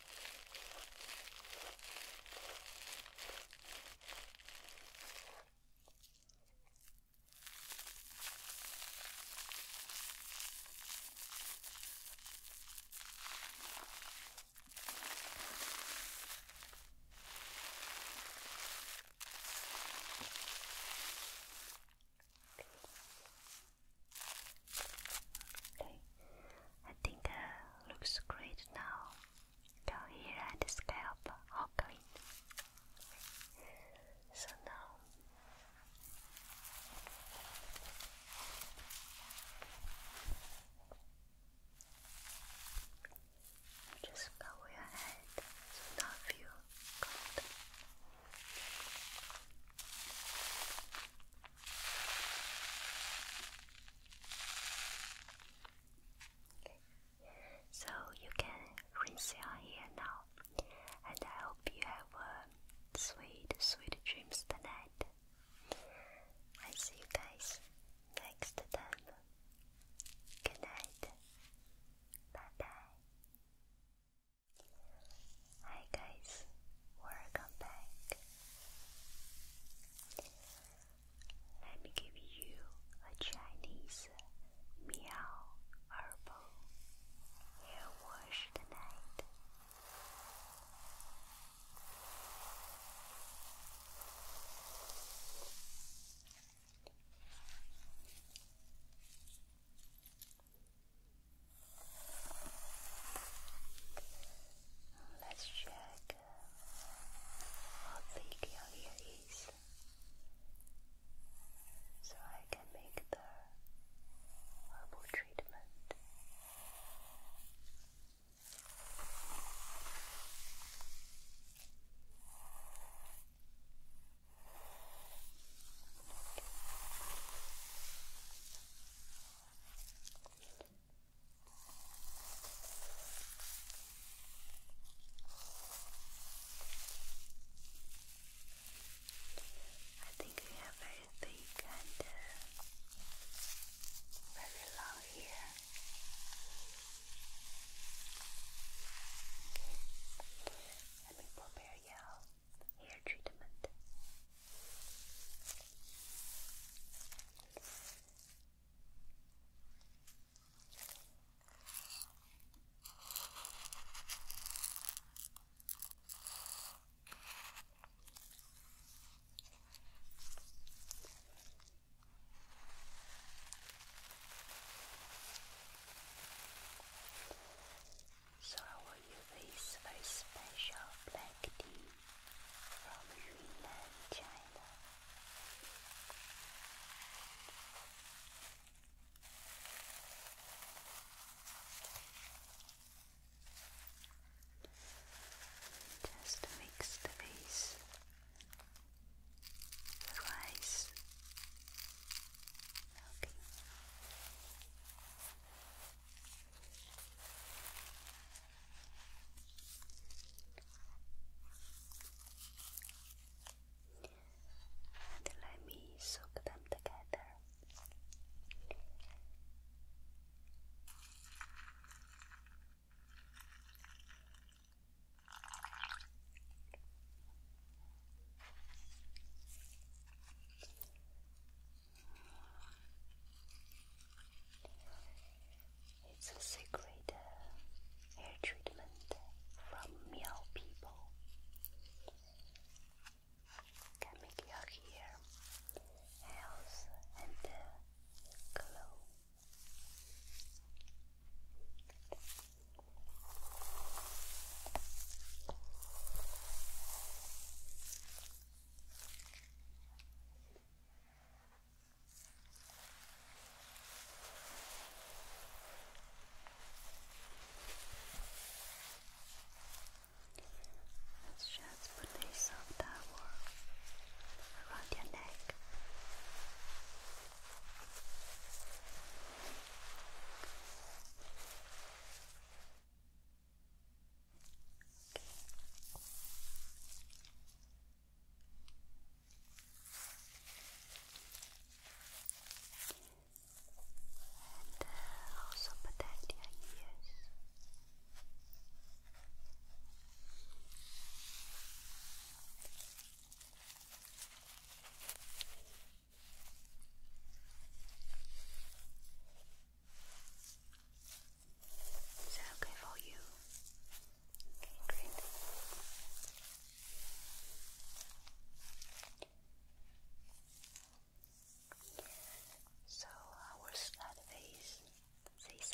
Okay, I think uh, looks great now go here at the scalp all green. So now just cover your head so not feel cold. So you can rinse your hair now, and I hope you have a sweet, sweet dreams tonight. I see you guys next time. Good night. Bye bye. Hi guys, welcome back. Let me give you a Chinese meow herbal hair wash tonight. Let's check how thick your ear is, so I can make the herbal treatment. I think we have very thick and uh, very long hair. Let me prepare your hair treatment. So I will use very special black tea from mainland Just mix the base the rice. Okay. And let me soak them together. It's a secret uh, hair treatment from Miao people. Can make your hair health and glow. Let's just put a soft towel around your neck. And also protect your ears. that okay for you? Okay, great. So our uh, start face this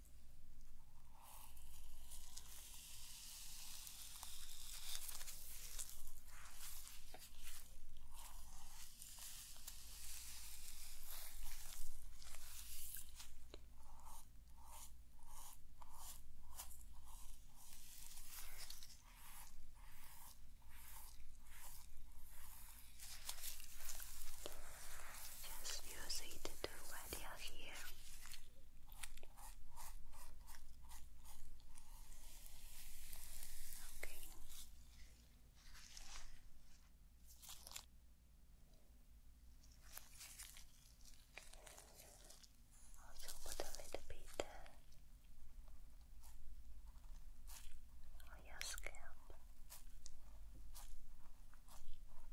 Just use it to do right here. Okay. Also put a little bit uh, on your scalp.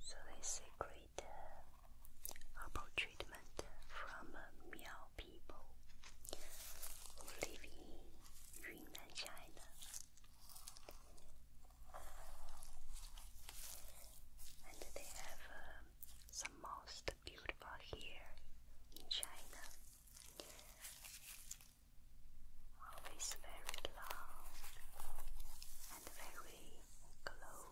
So they say favorite uh, treatment from uh, Miao people who in Yunnan, China. And they have uh, some most beautiful hair in China. Always very long and very glow.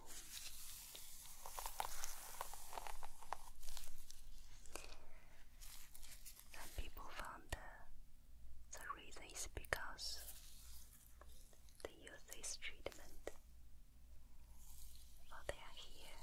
Some people found the, reason is because they use this treatment for their hair.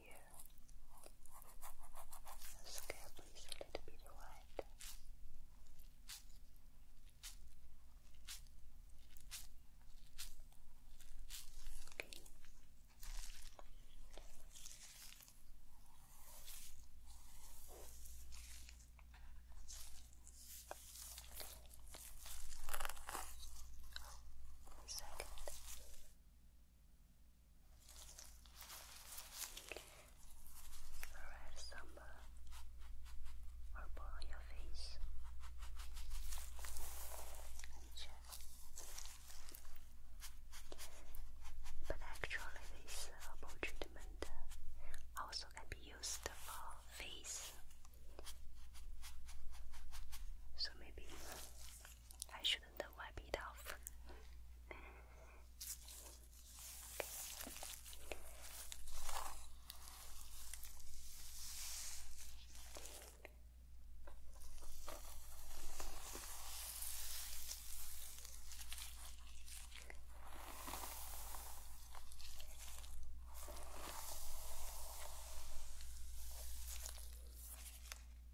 here. The scalp is a little bit wide. Okay. Second. Spread some purple your face But actually, this herbal uh, treatment uh, also can be used for face. So maybe I shouldn't wipe it off.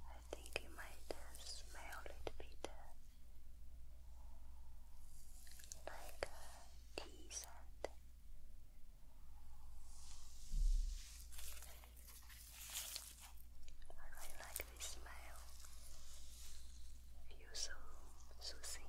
I think you might smell it bit like uh, tea scent. I really like this smell. Feels so soothing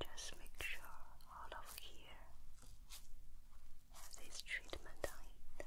Just make sure all of here has this treatment on it.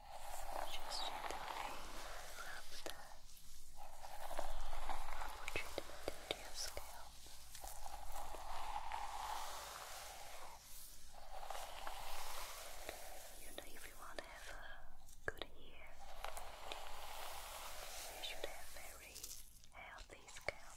Just gently rub the herbal into your scalp. You know, if you want to have a good hair, you should have very healthy scalp.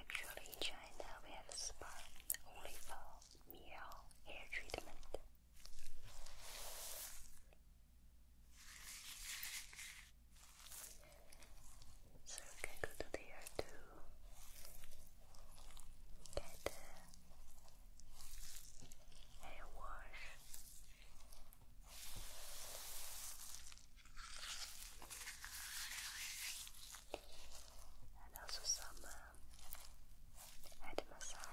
Actually, China, we have a spa only for male hair treatment. So you can go to there to get hair wash and also some um, head massage.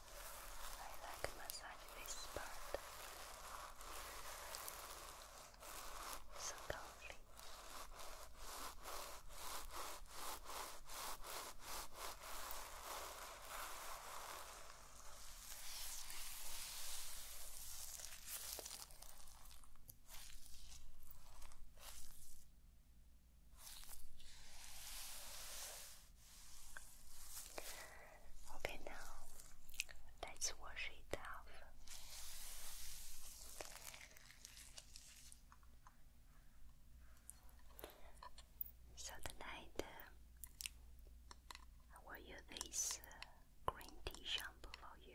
I like massage this part. So lovely. Okay, now let's wash it off. So tonight uh, I will use this uh, green tea shampoo for you.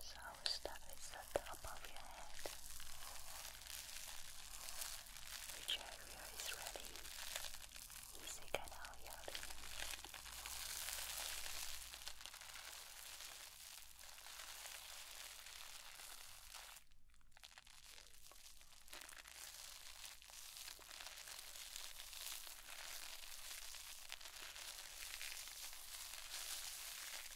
So I will start with the top of your head. Which area is ready? Easy kind of yelling. Good.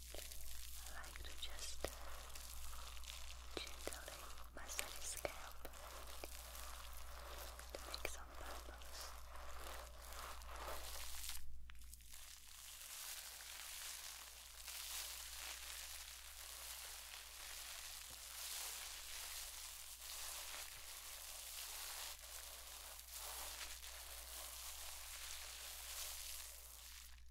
I like to just gently massage the scalp to make some bubbles.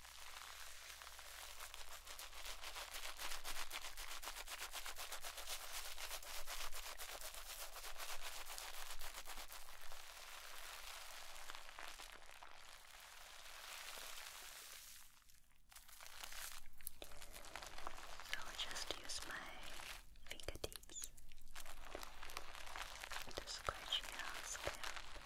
So I'll just use my fingertips to scratch your scalp.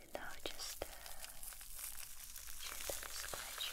And now just uh, gently scratch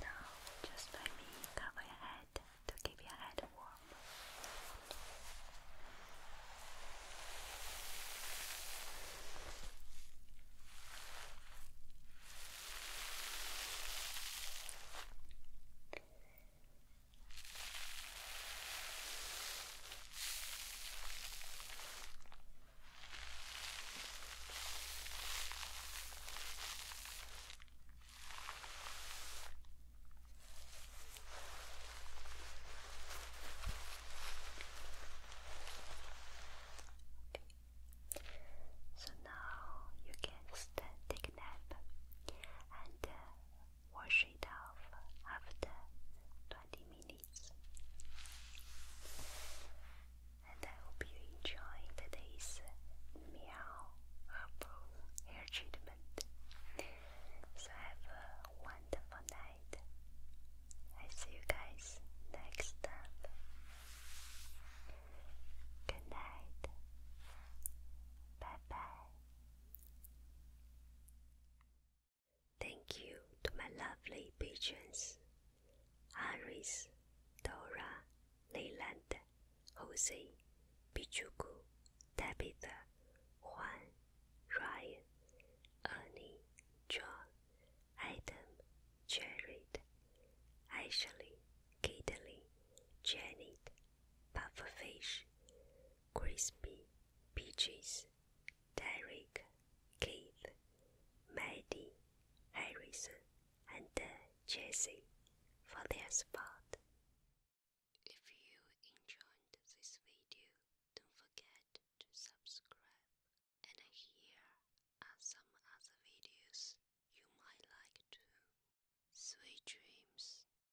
Now, just let me cover your head to keep your head warm. So now you can take a nap and uh, wash it off after 20 minutes. And I hope you enjoy today's meow herbal hair treatment. So have a wonderful night. I see you guys next time. Good night. Bye bye. Thank you to my lovely patrons Iris, Dora, Leyland, Jose, Pichuku, Tabitha, Juan, Ryan, Ernie, John, Adam, Jared, Ashley, Kidley, Janet, pufferfish, crispy, peaches, Derek, Keith, Maddie, Harrison, and uh, Jesse for their support. If you enjoyed this video, don't forget to subscribe. And here are some other videos you might like too. Sweet dreams.